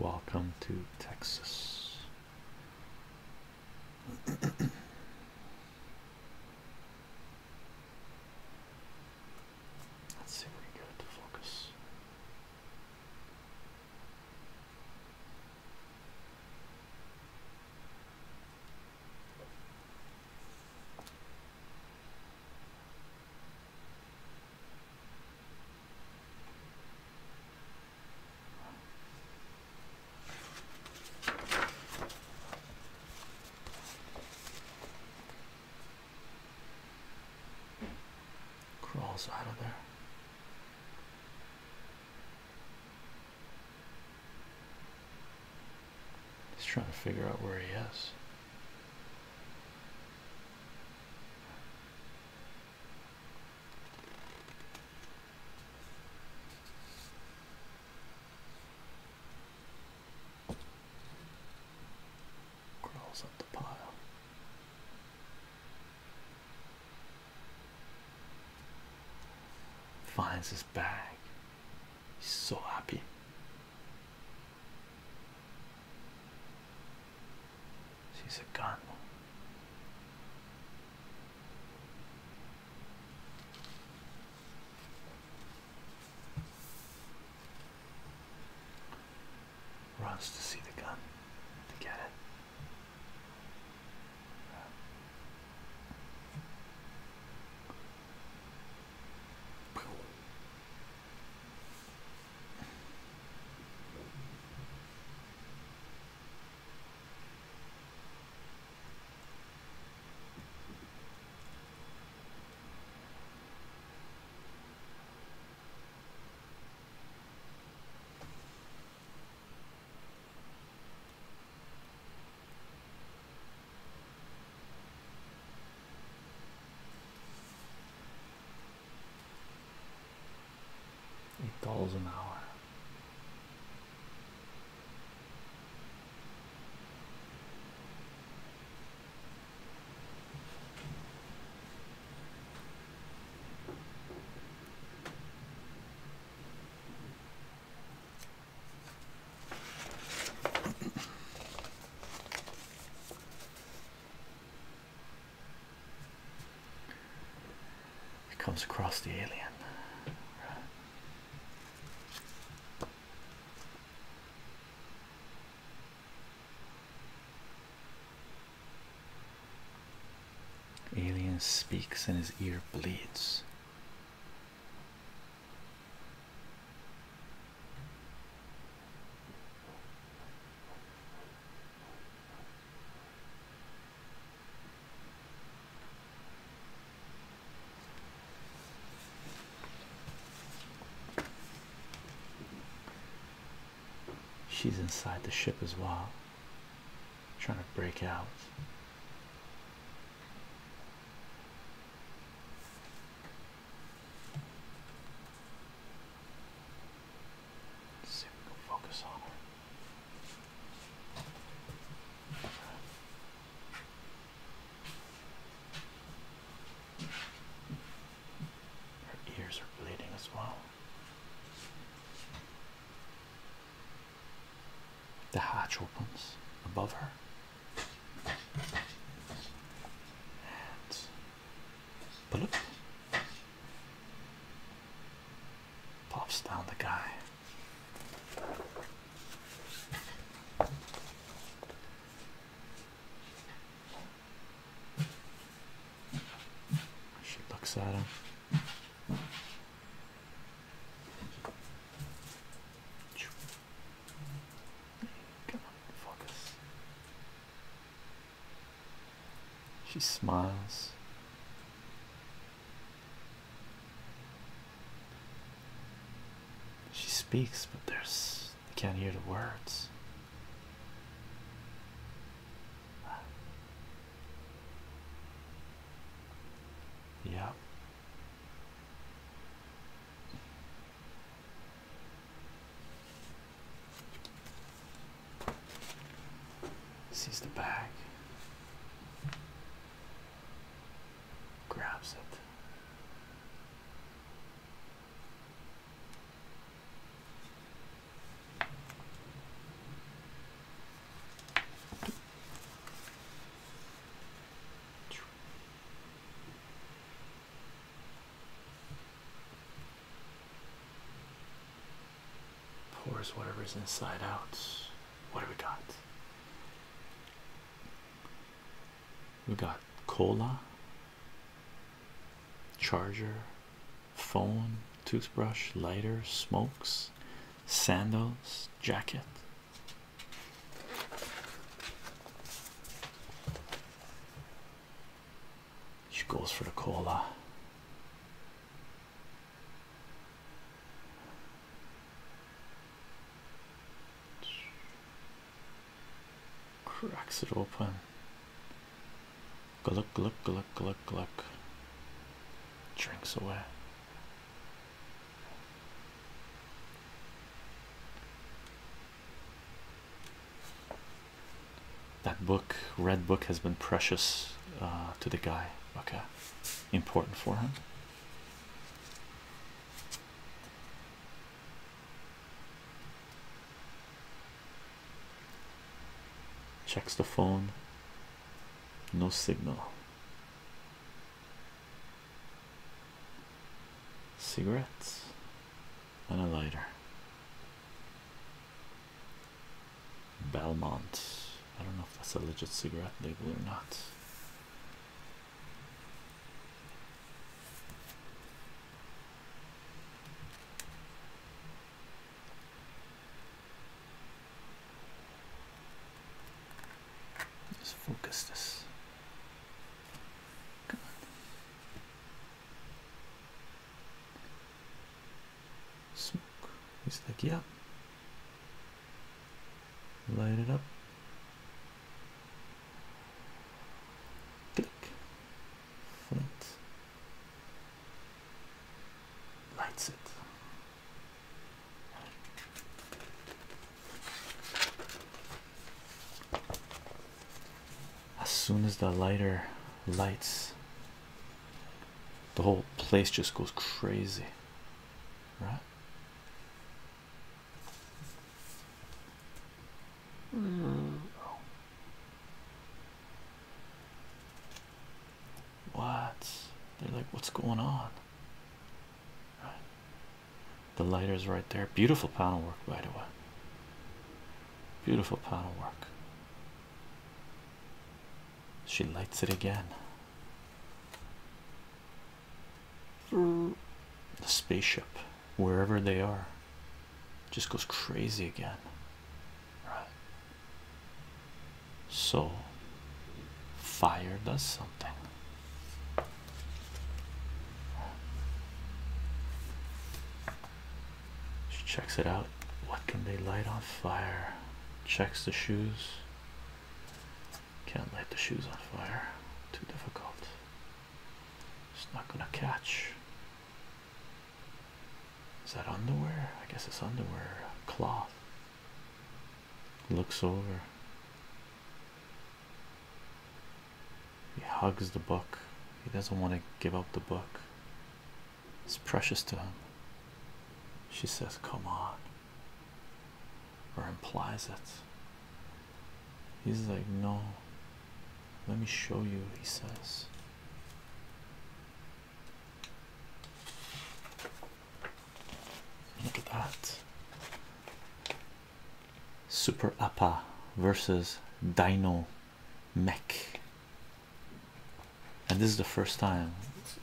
Welcome to Texas. Let's see if we can get it to focus. Crawls out of there. He's trying to figure out where he is. Crawls up the pile. Finds his bag. He's so happy. She's a gun. Runs to see the gun to get it. Eight dollars an hour. It comes across the alien. Alien speaks and his ear bleeds. She's inside the ship as well, trying to break out. focus on her. Her ears are bleeding as well. The hatch opens above her. And pull pops down the guy. She looks at him. Come on, focus. She smiles. She speaks, but there's you can't hear the words. Yeah. is the bag grabs it. Pours whatever's inside out. What have we got? we got cola charger phone toothbrush lighter smokes sandals jacket she goes for the cola cracks it open. Gluck, gluck, gluck, gluck, gluck. Drinks away. That book, Red Book, has been precious uh, to the guy. Okay, important for him. Checks the phone, no signal. Cigarettes and a lighter. Belmont. I don't know if that's a legit cigarette label or not. Let's focus this. Come on. Smoke. He's like, yeah light it up click flint lights it as soon as the lighter lights the whole place just goes crazy right Mm. What? They're like, what's going on? Right. The lighter's right there. Beautiful panel work, by the way. Beautiful panel work. She lights it again the spaceship wherever they are just goes crazy again right so fire does something she checks it out what can they light on fire checks the shoes can't light the shoes on fire. Too difficult. It's not gonna catch. Is that underwear? I guess it's underwear. Cloth. Looks over. He hugs the book. He doesn't want to give up the book. It's precious to him. She says, Come on or implies it. He's like, No, let me show you, he says. Look at that. Super Appa versus Dino Mech. And this is the first time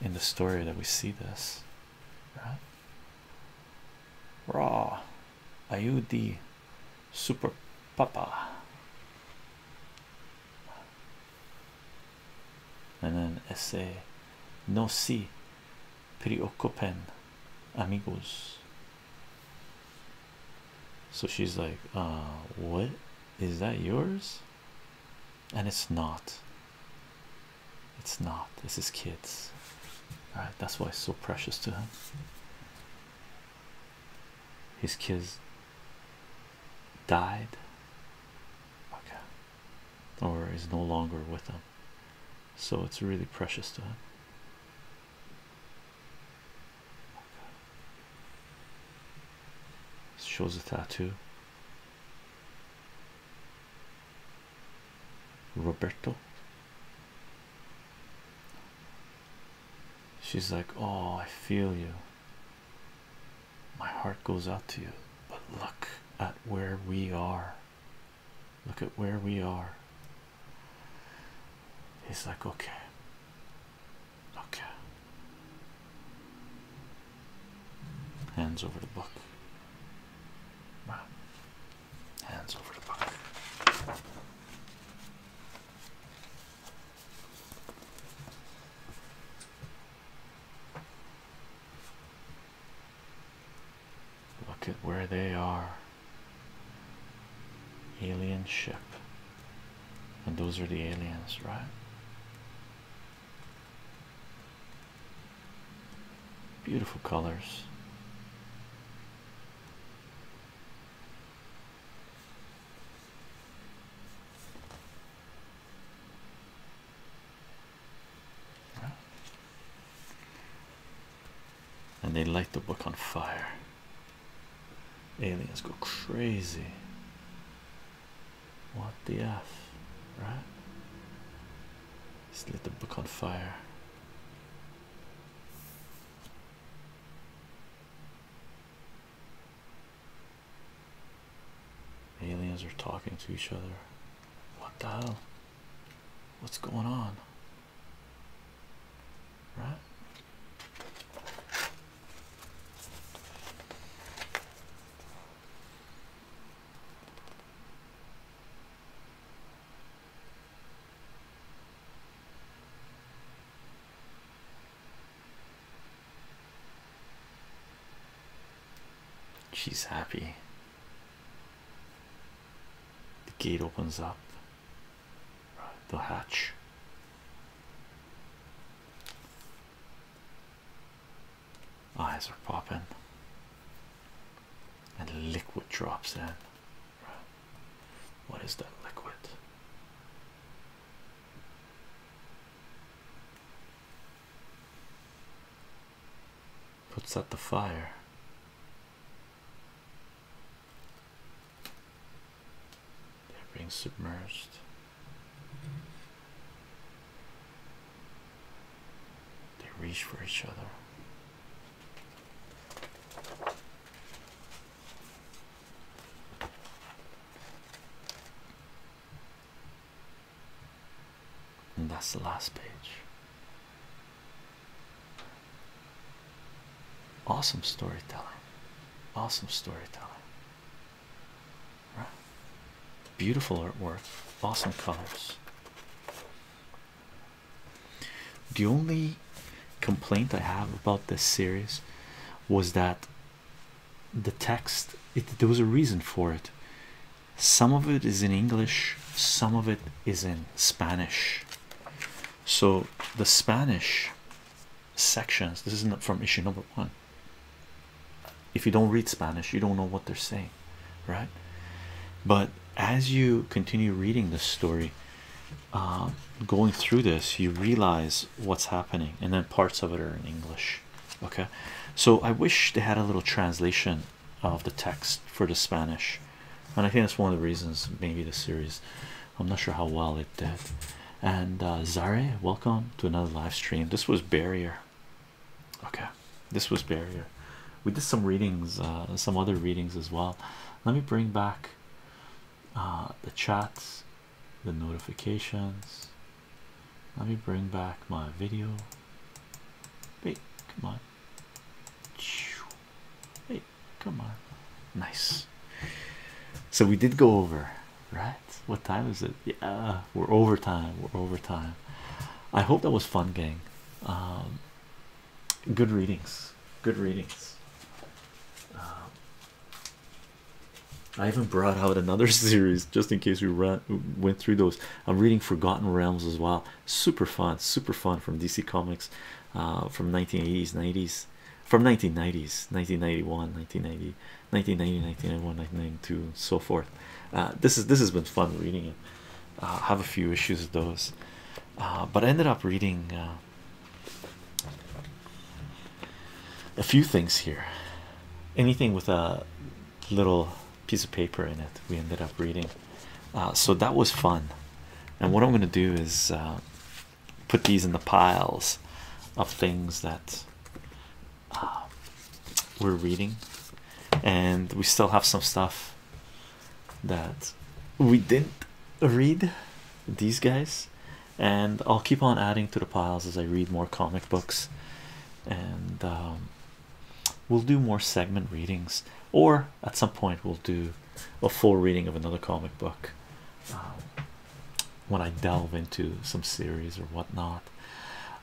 in the story that we see this. Right? Raw you the Super Papa and then essay No si preocupen amigos. So she's like, uh, what is that yours? And it's not. It's not. This is kids. All right, that's why it's so precious to him. His kids died. Or is no longer with him. So it's really precious to him. Shows a tattoo. Roberto. She's like, Oh, I feel you. My heart goes out to you, but look at where we are. Look at where we are. He's like, Okay, okay. Hands over the book. Wow. Hands over the pocket. Look at where they are. Alien ship. And those are the aliens, right? Beautiful colors. And they light the book on fire. Aliens go crazy. What the F, right? Just lit the book on fire. Aliens are talking to each other. What the hell? What's going on? Right? She's happy. The gate opens up, the hatch. Eyes are popping and liquid drops in. What is that liquid? Puts out the fire. They're being submerged. They reach for each other. And that's the last page. Awesome storytelling. Awesome storytelling. Right. Beautiful artwork. Awesome colors. The only complaint I have about this series was that the text it there was a reason for it. Some of it is in English, some of it is in Spanish. So the Spanish sections this isn't from issue number one. If you don't read Spanish, you don't know what they're saying right? But as you continue reading this story, um, going through this, you realize what's happening, and then parts of it are in English. Okay, so I wish they had a little translation of the text for the Spanish, and I think that's one of the reasons maybe the series. I'm not sure how well it did. And uh, Zare, welcome to another live stream. This was Barrier. Okay, this was barrier we did some readings uh, some other readings as well let me bring back uh, the chats the notifications let me bring back my video hey come on hey come on nice so we did go over right what time is it yeah we're over time we're over time i hope that was fun gang um, good readings, good readings. Um, I even brought out another series just in case we ran, went through those. I'm reading Forgotten Realms as well. Super fun, super fun from DC Comics, uh, from 1980s, 90s, from 1990s, 1991, 1990, 1990, 1991, 1992, and so forth. Uh, this is this has been fun reading it uh, have a few issues with those uh, but I ended up reading uh, a few things here anything with a little piece of paper in it we ended up reading uh, so that was fun and what I'm gonna do is put these in the piles of things that we're reading and we still have some stuff that we didn't read these guys, and I'll keep on adding to the piles as I read more comic books, and um, we'll do more segment readings, or at some point, we'll do a full reading of another comic book. Um, when I delve into some series or whatnot,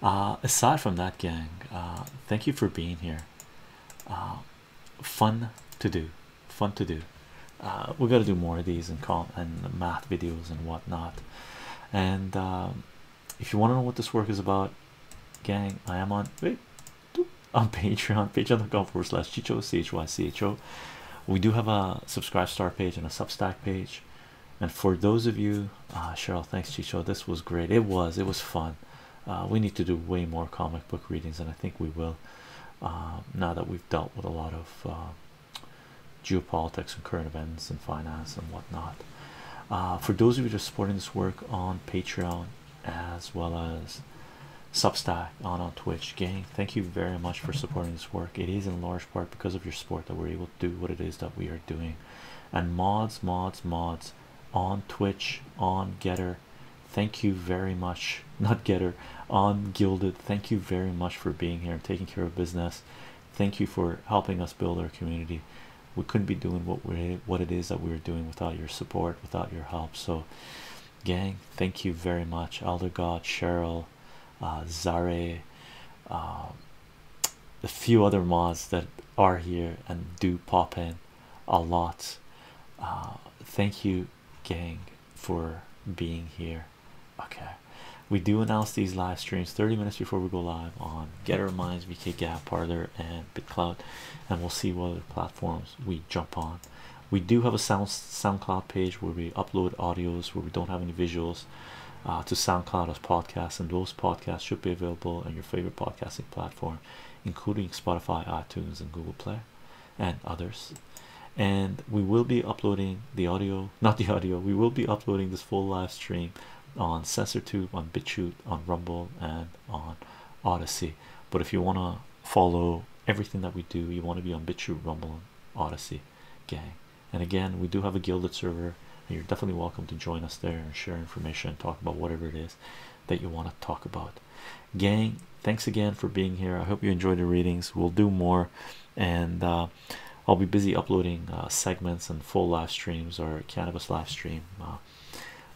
uh, aside from that, gang, uh, thank you for being here. Um, fun to do fun to do uh, we got to do more of these and math videos and whatnot and um, if you want to know what this work is about gang i am on wait on patreon patreon.com forward slash chicho chycho we do have a subscribe star page and a substack page and for those of you uh, cheryl thanks chicho this was great it was it was fun uh, we need to do way more comic book readings and i think we will uh, now that we've dealt with a lot of uh, geopolitics and current events and finance and whatnot for those of you that are supporting this work on patreon as well as substack on on twitch gang thank you very much for supporting this work it is in large part because of your support that we're able to do what it is that we are doing and mods mods mods on twitch on getter thank you very much not getter on gilded thank you very much for being here and taking care of business thank you for helping us build our community we couldn't be doing what we what it is that we are doing without your support without your help so gang thank you very much elder god cheryl uh, zare uh, a few other mods that are here and do pop in a lot. Uh, thank you, gang, for being here. Okay, we do announce these live streams 30 minutes before we go live on Getter Minds, VK Gap, Parlor, and BitCloud, and we'll see what other platforms we jump on. We do have a Sound SoundCloud page where we upload audios where we don't have any visuals. Uh, to SoundCloud as podcasts, and those podcasts should be available on your favorite podcasting platform including Spotify, iTunes, and Google Play, and others. And we will be uploading the audio, not the audio, we will be uploading this full live stream on Sensor Tube, on BitChute, on Rumble, and on Odyssey. But if you want to follow everything that we do, you want to be on BitChute, Rumble, and Odyssey, gang. And again, we do have a Gilded server. And you're definitely welcome to join us there and share information and talk about whatever it is that you want to talk about. Gang, thanks again for being here. I hope you enjoyed the readings. We'll do more, and uh, I'll be busy uploading uh, segments and full live streams or cannabis live stream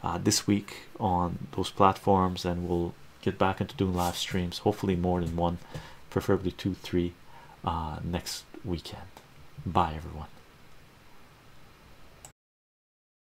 uh, this week on those platforms, and we'll get back into doing live streams. Hopefully, more than one, preferably two, three, next weekend. Bye, everyone.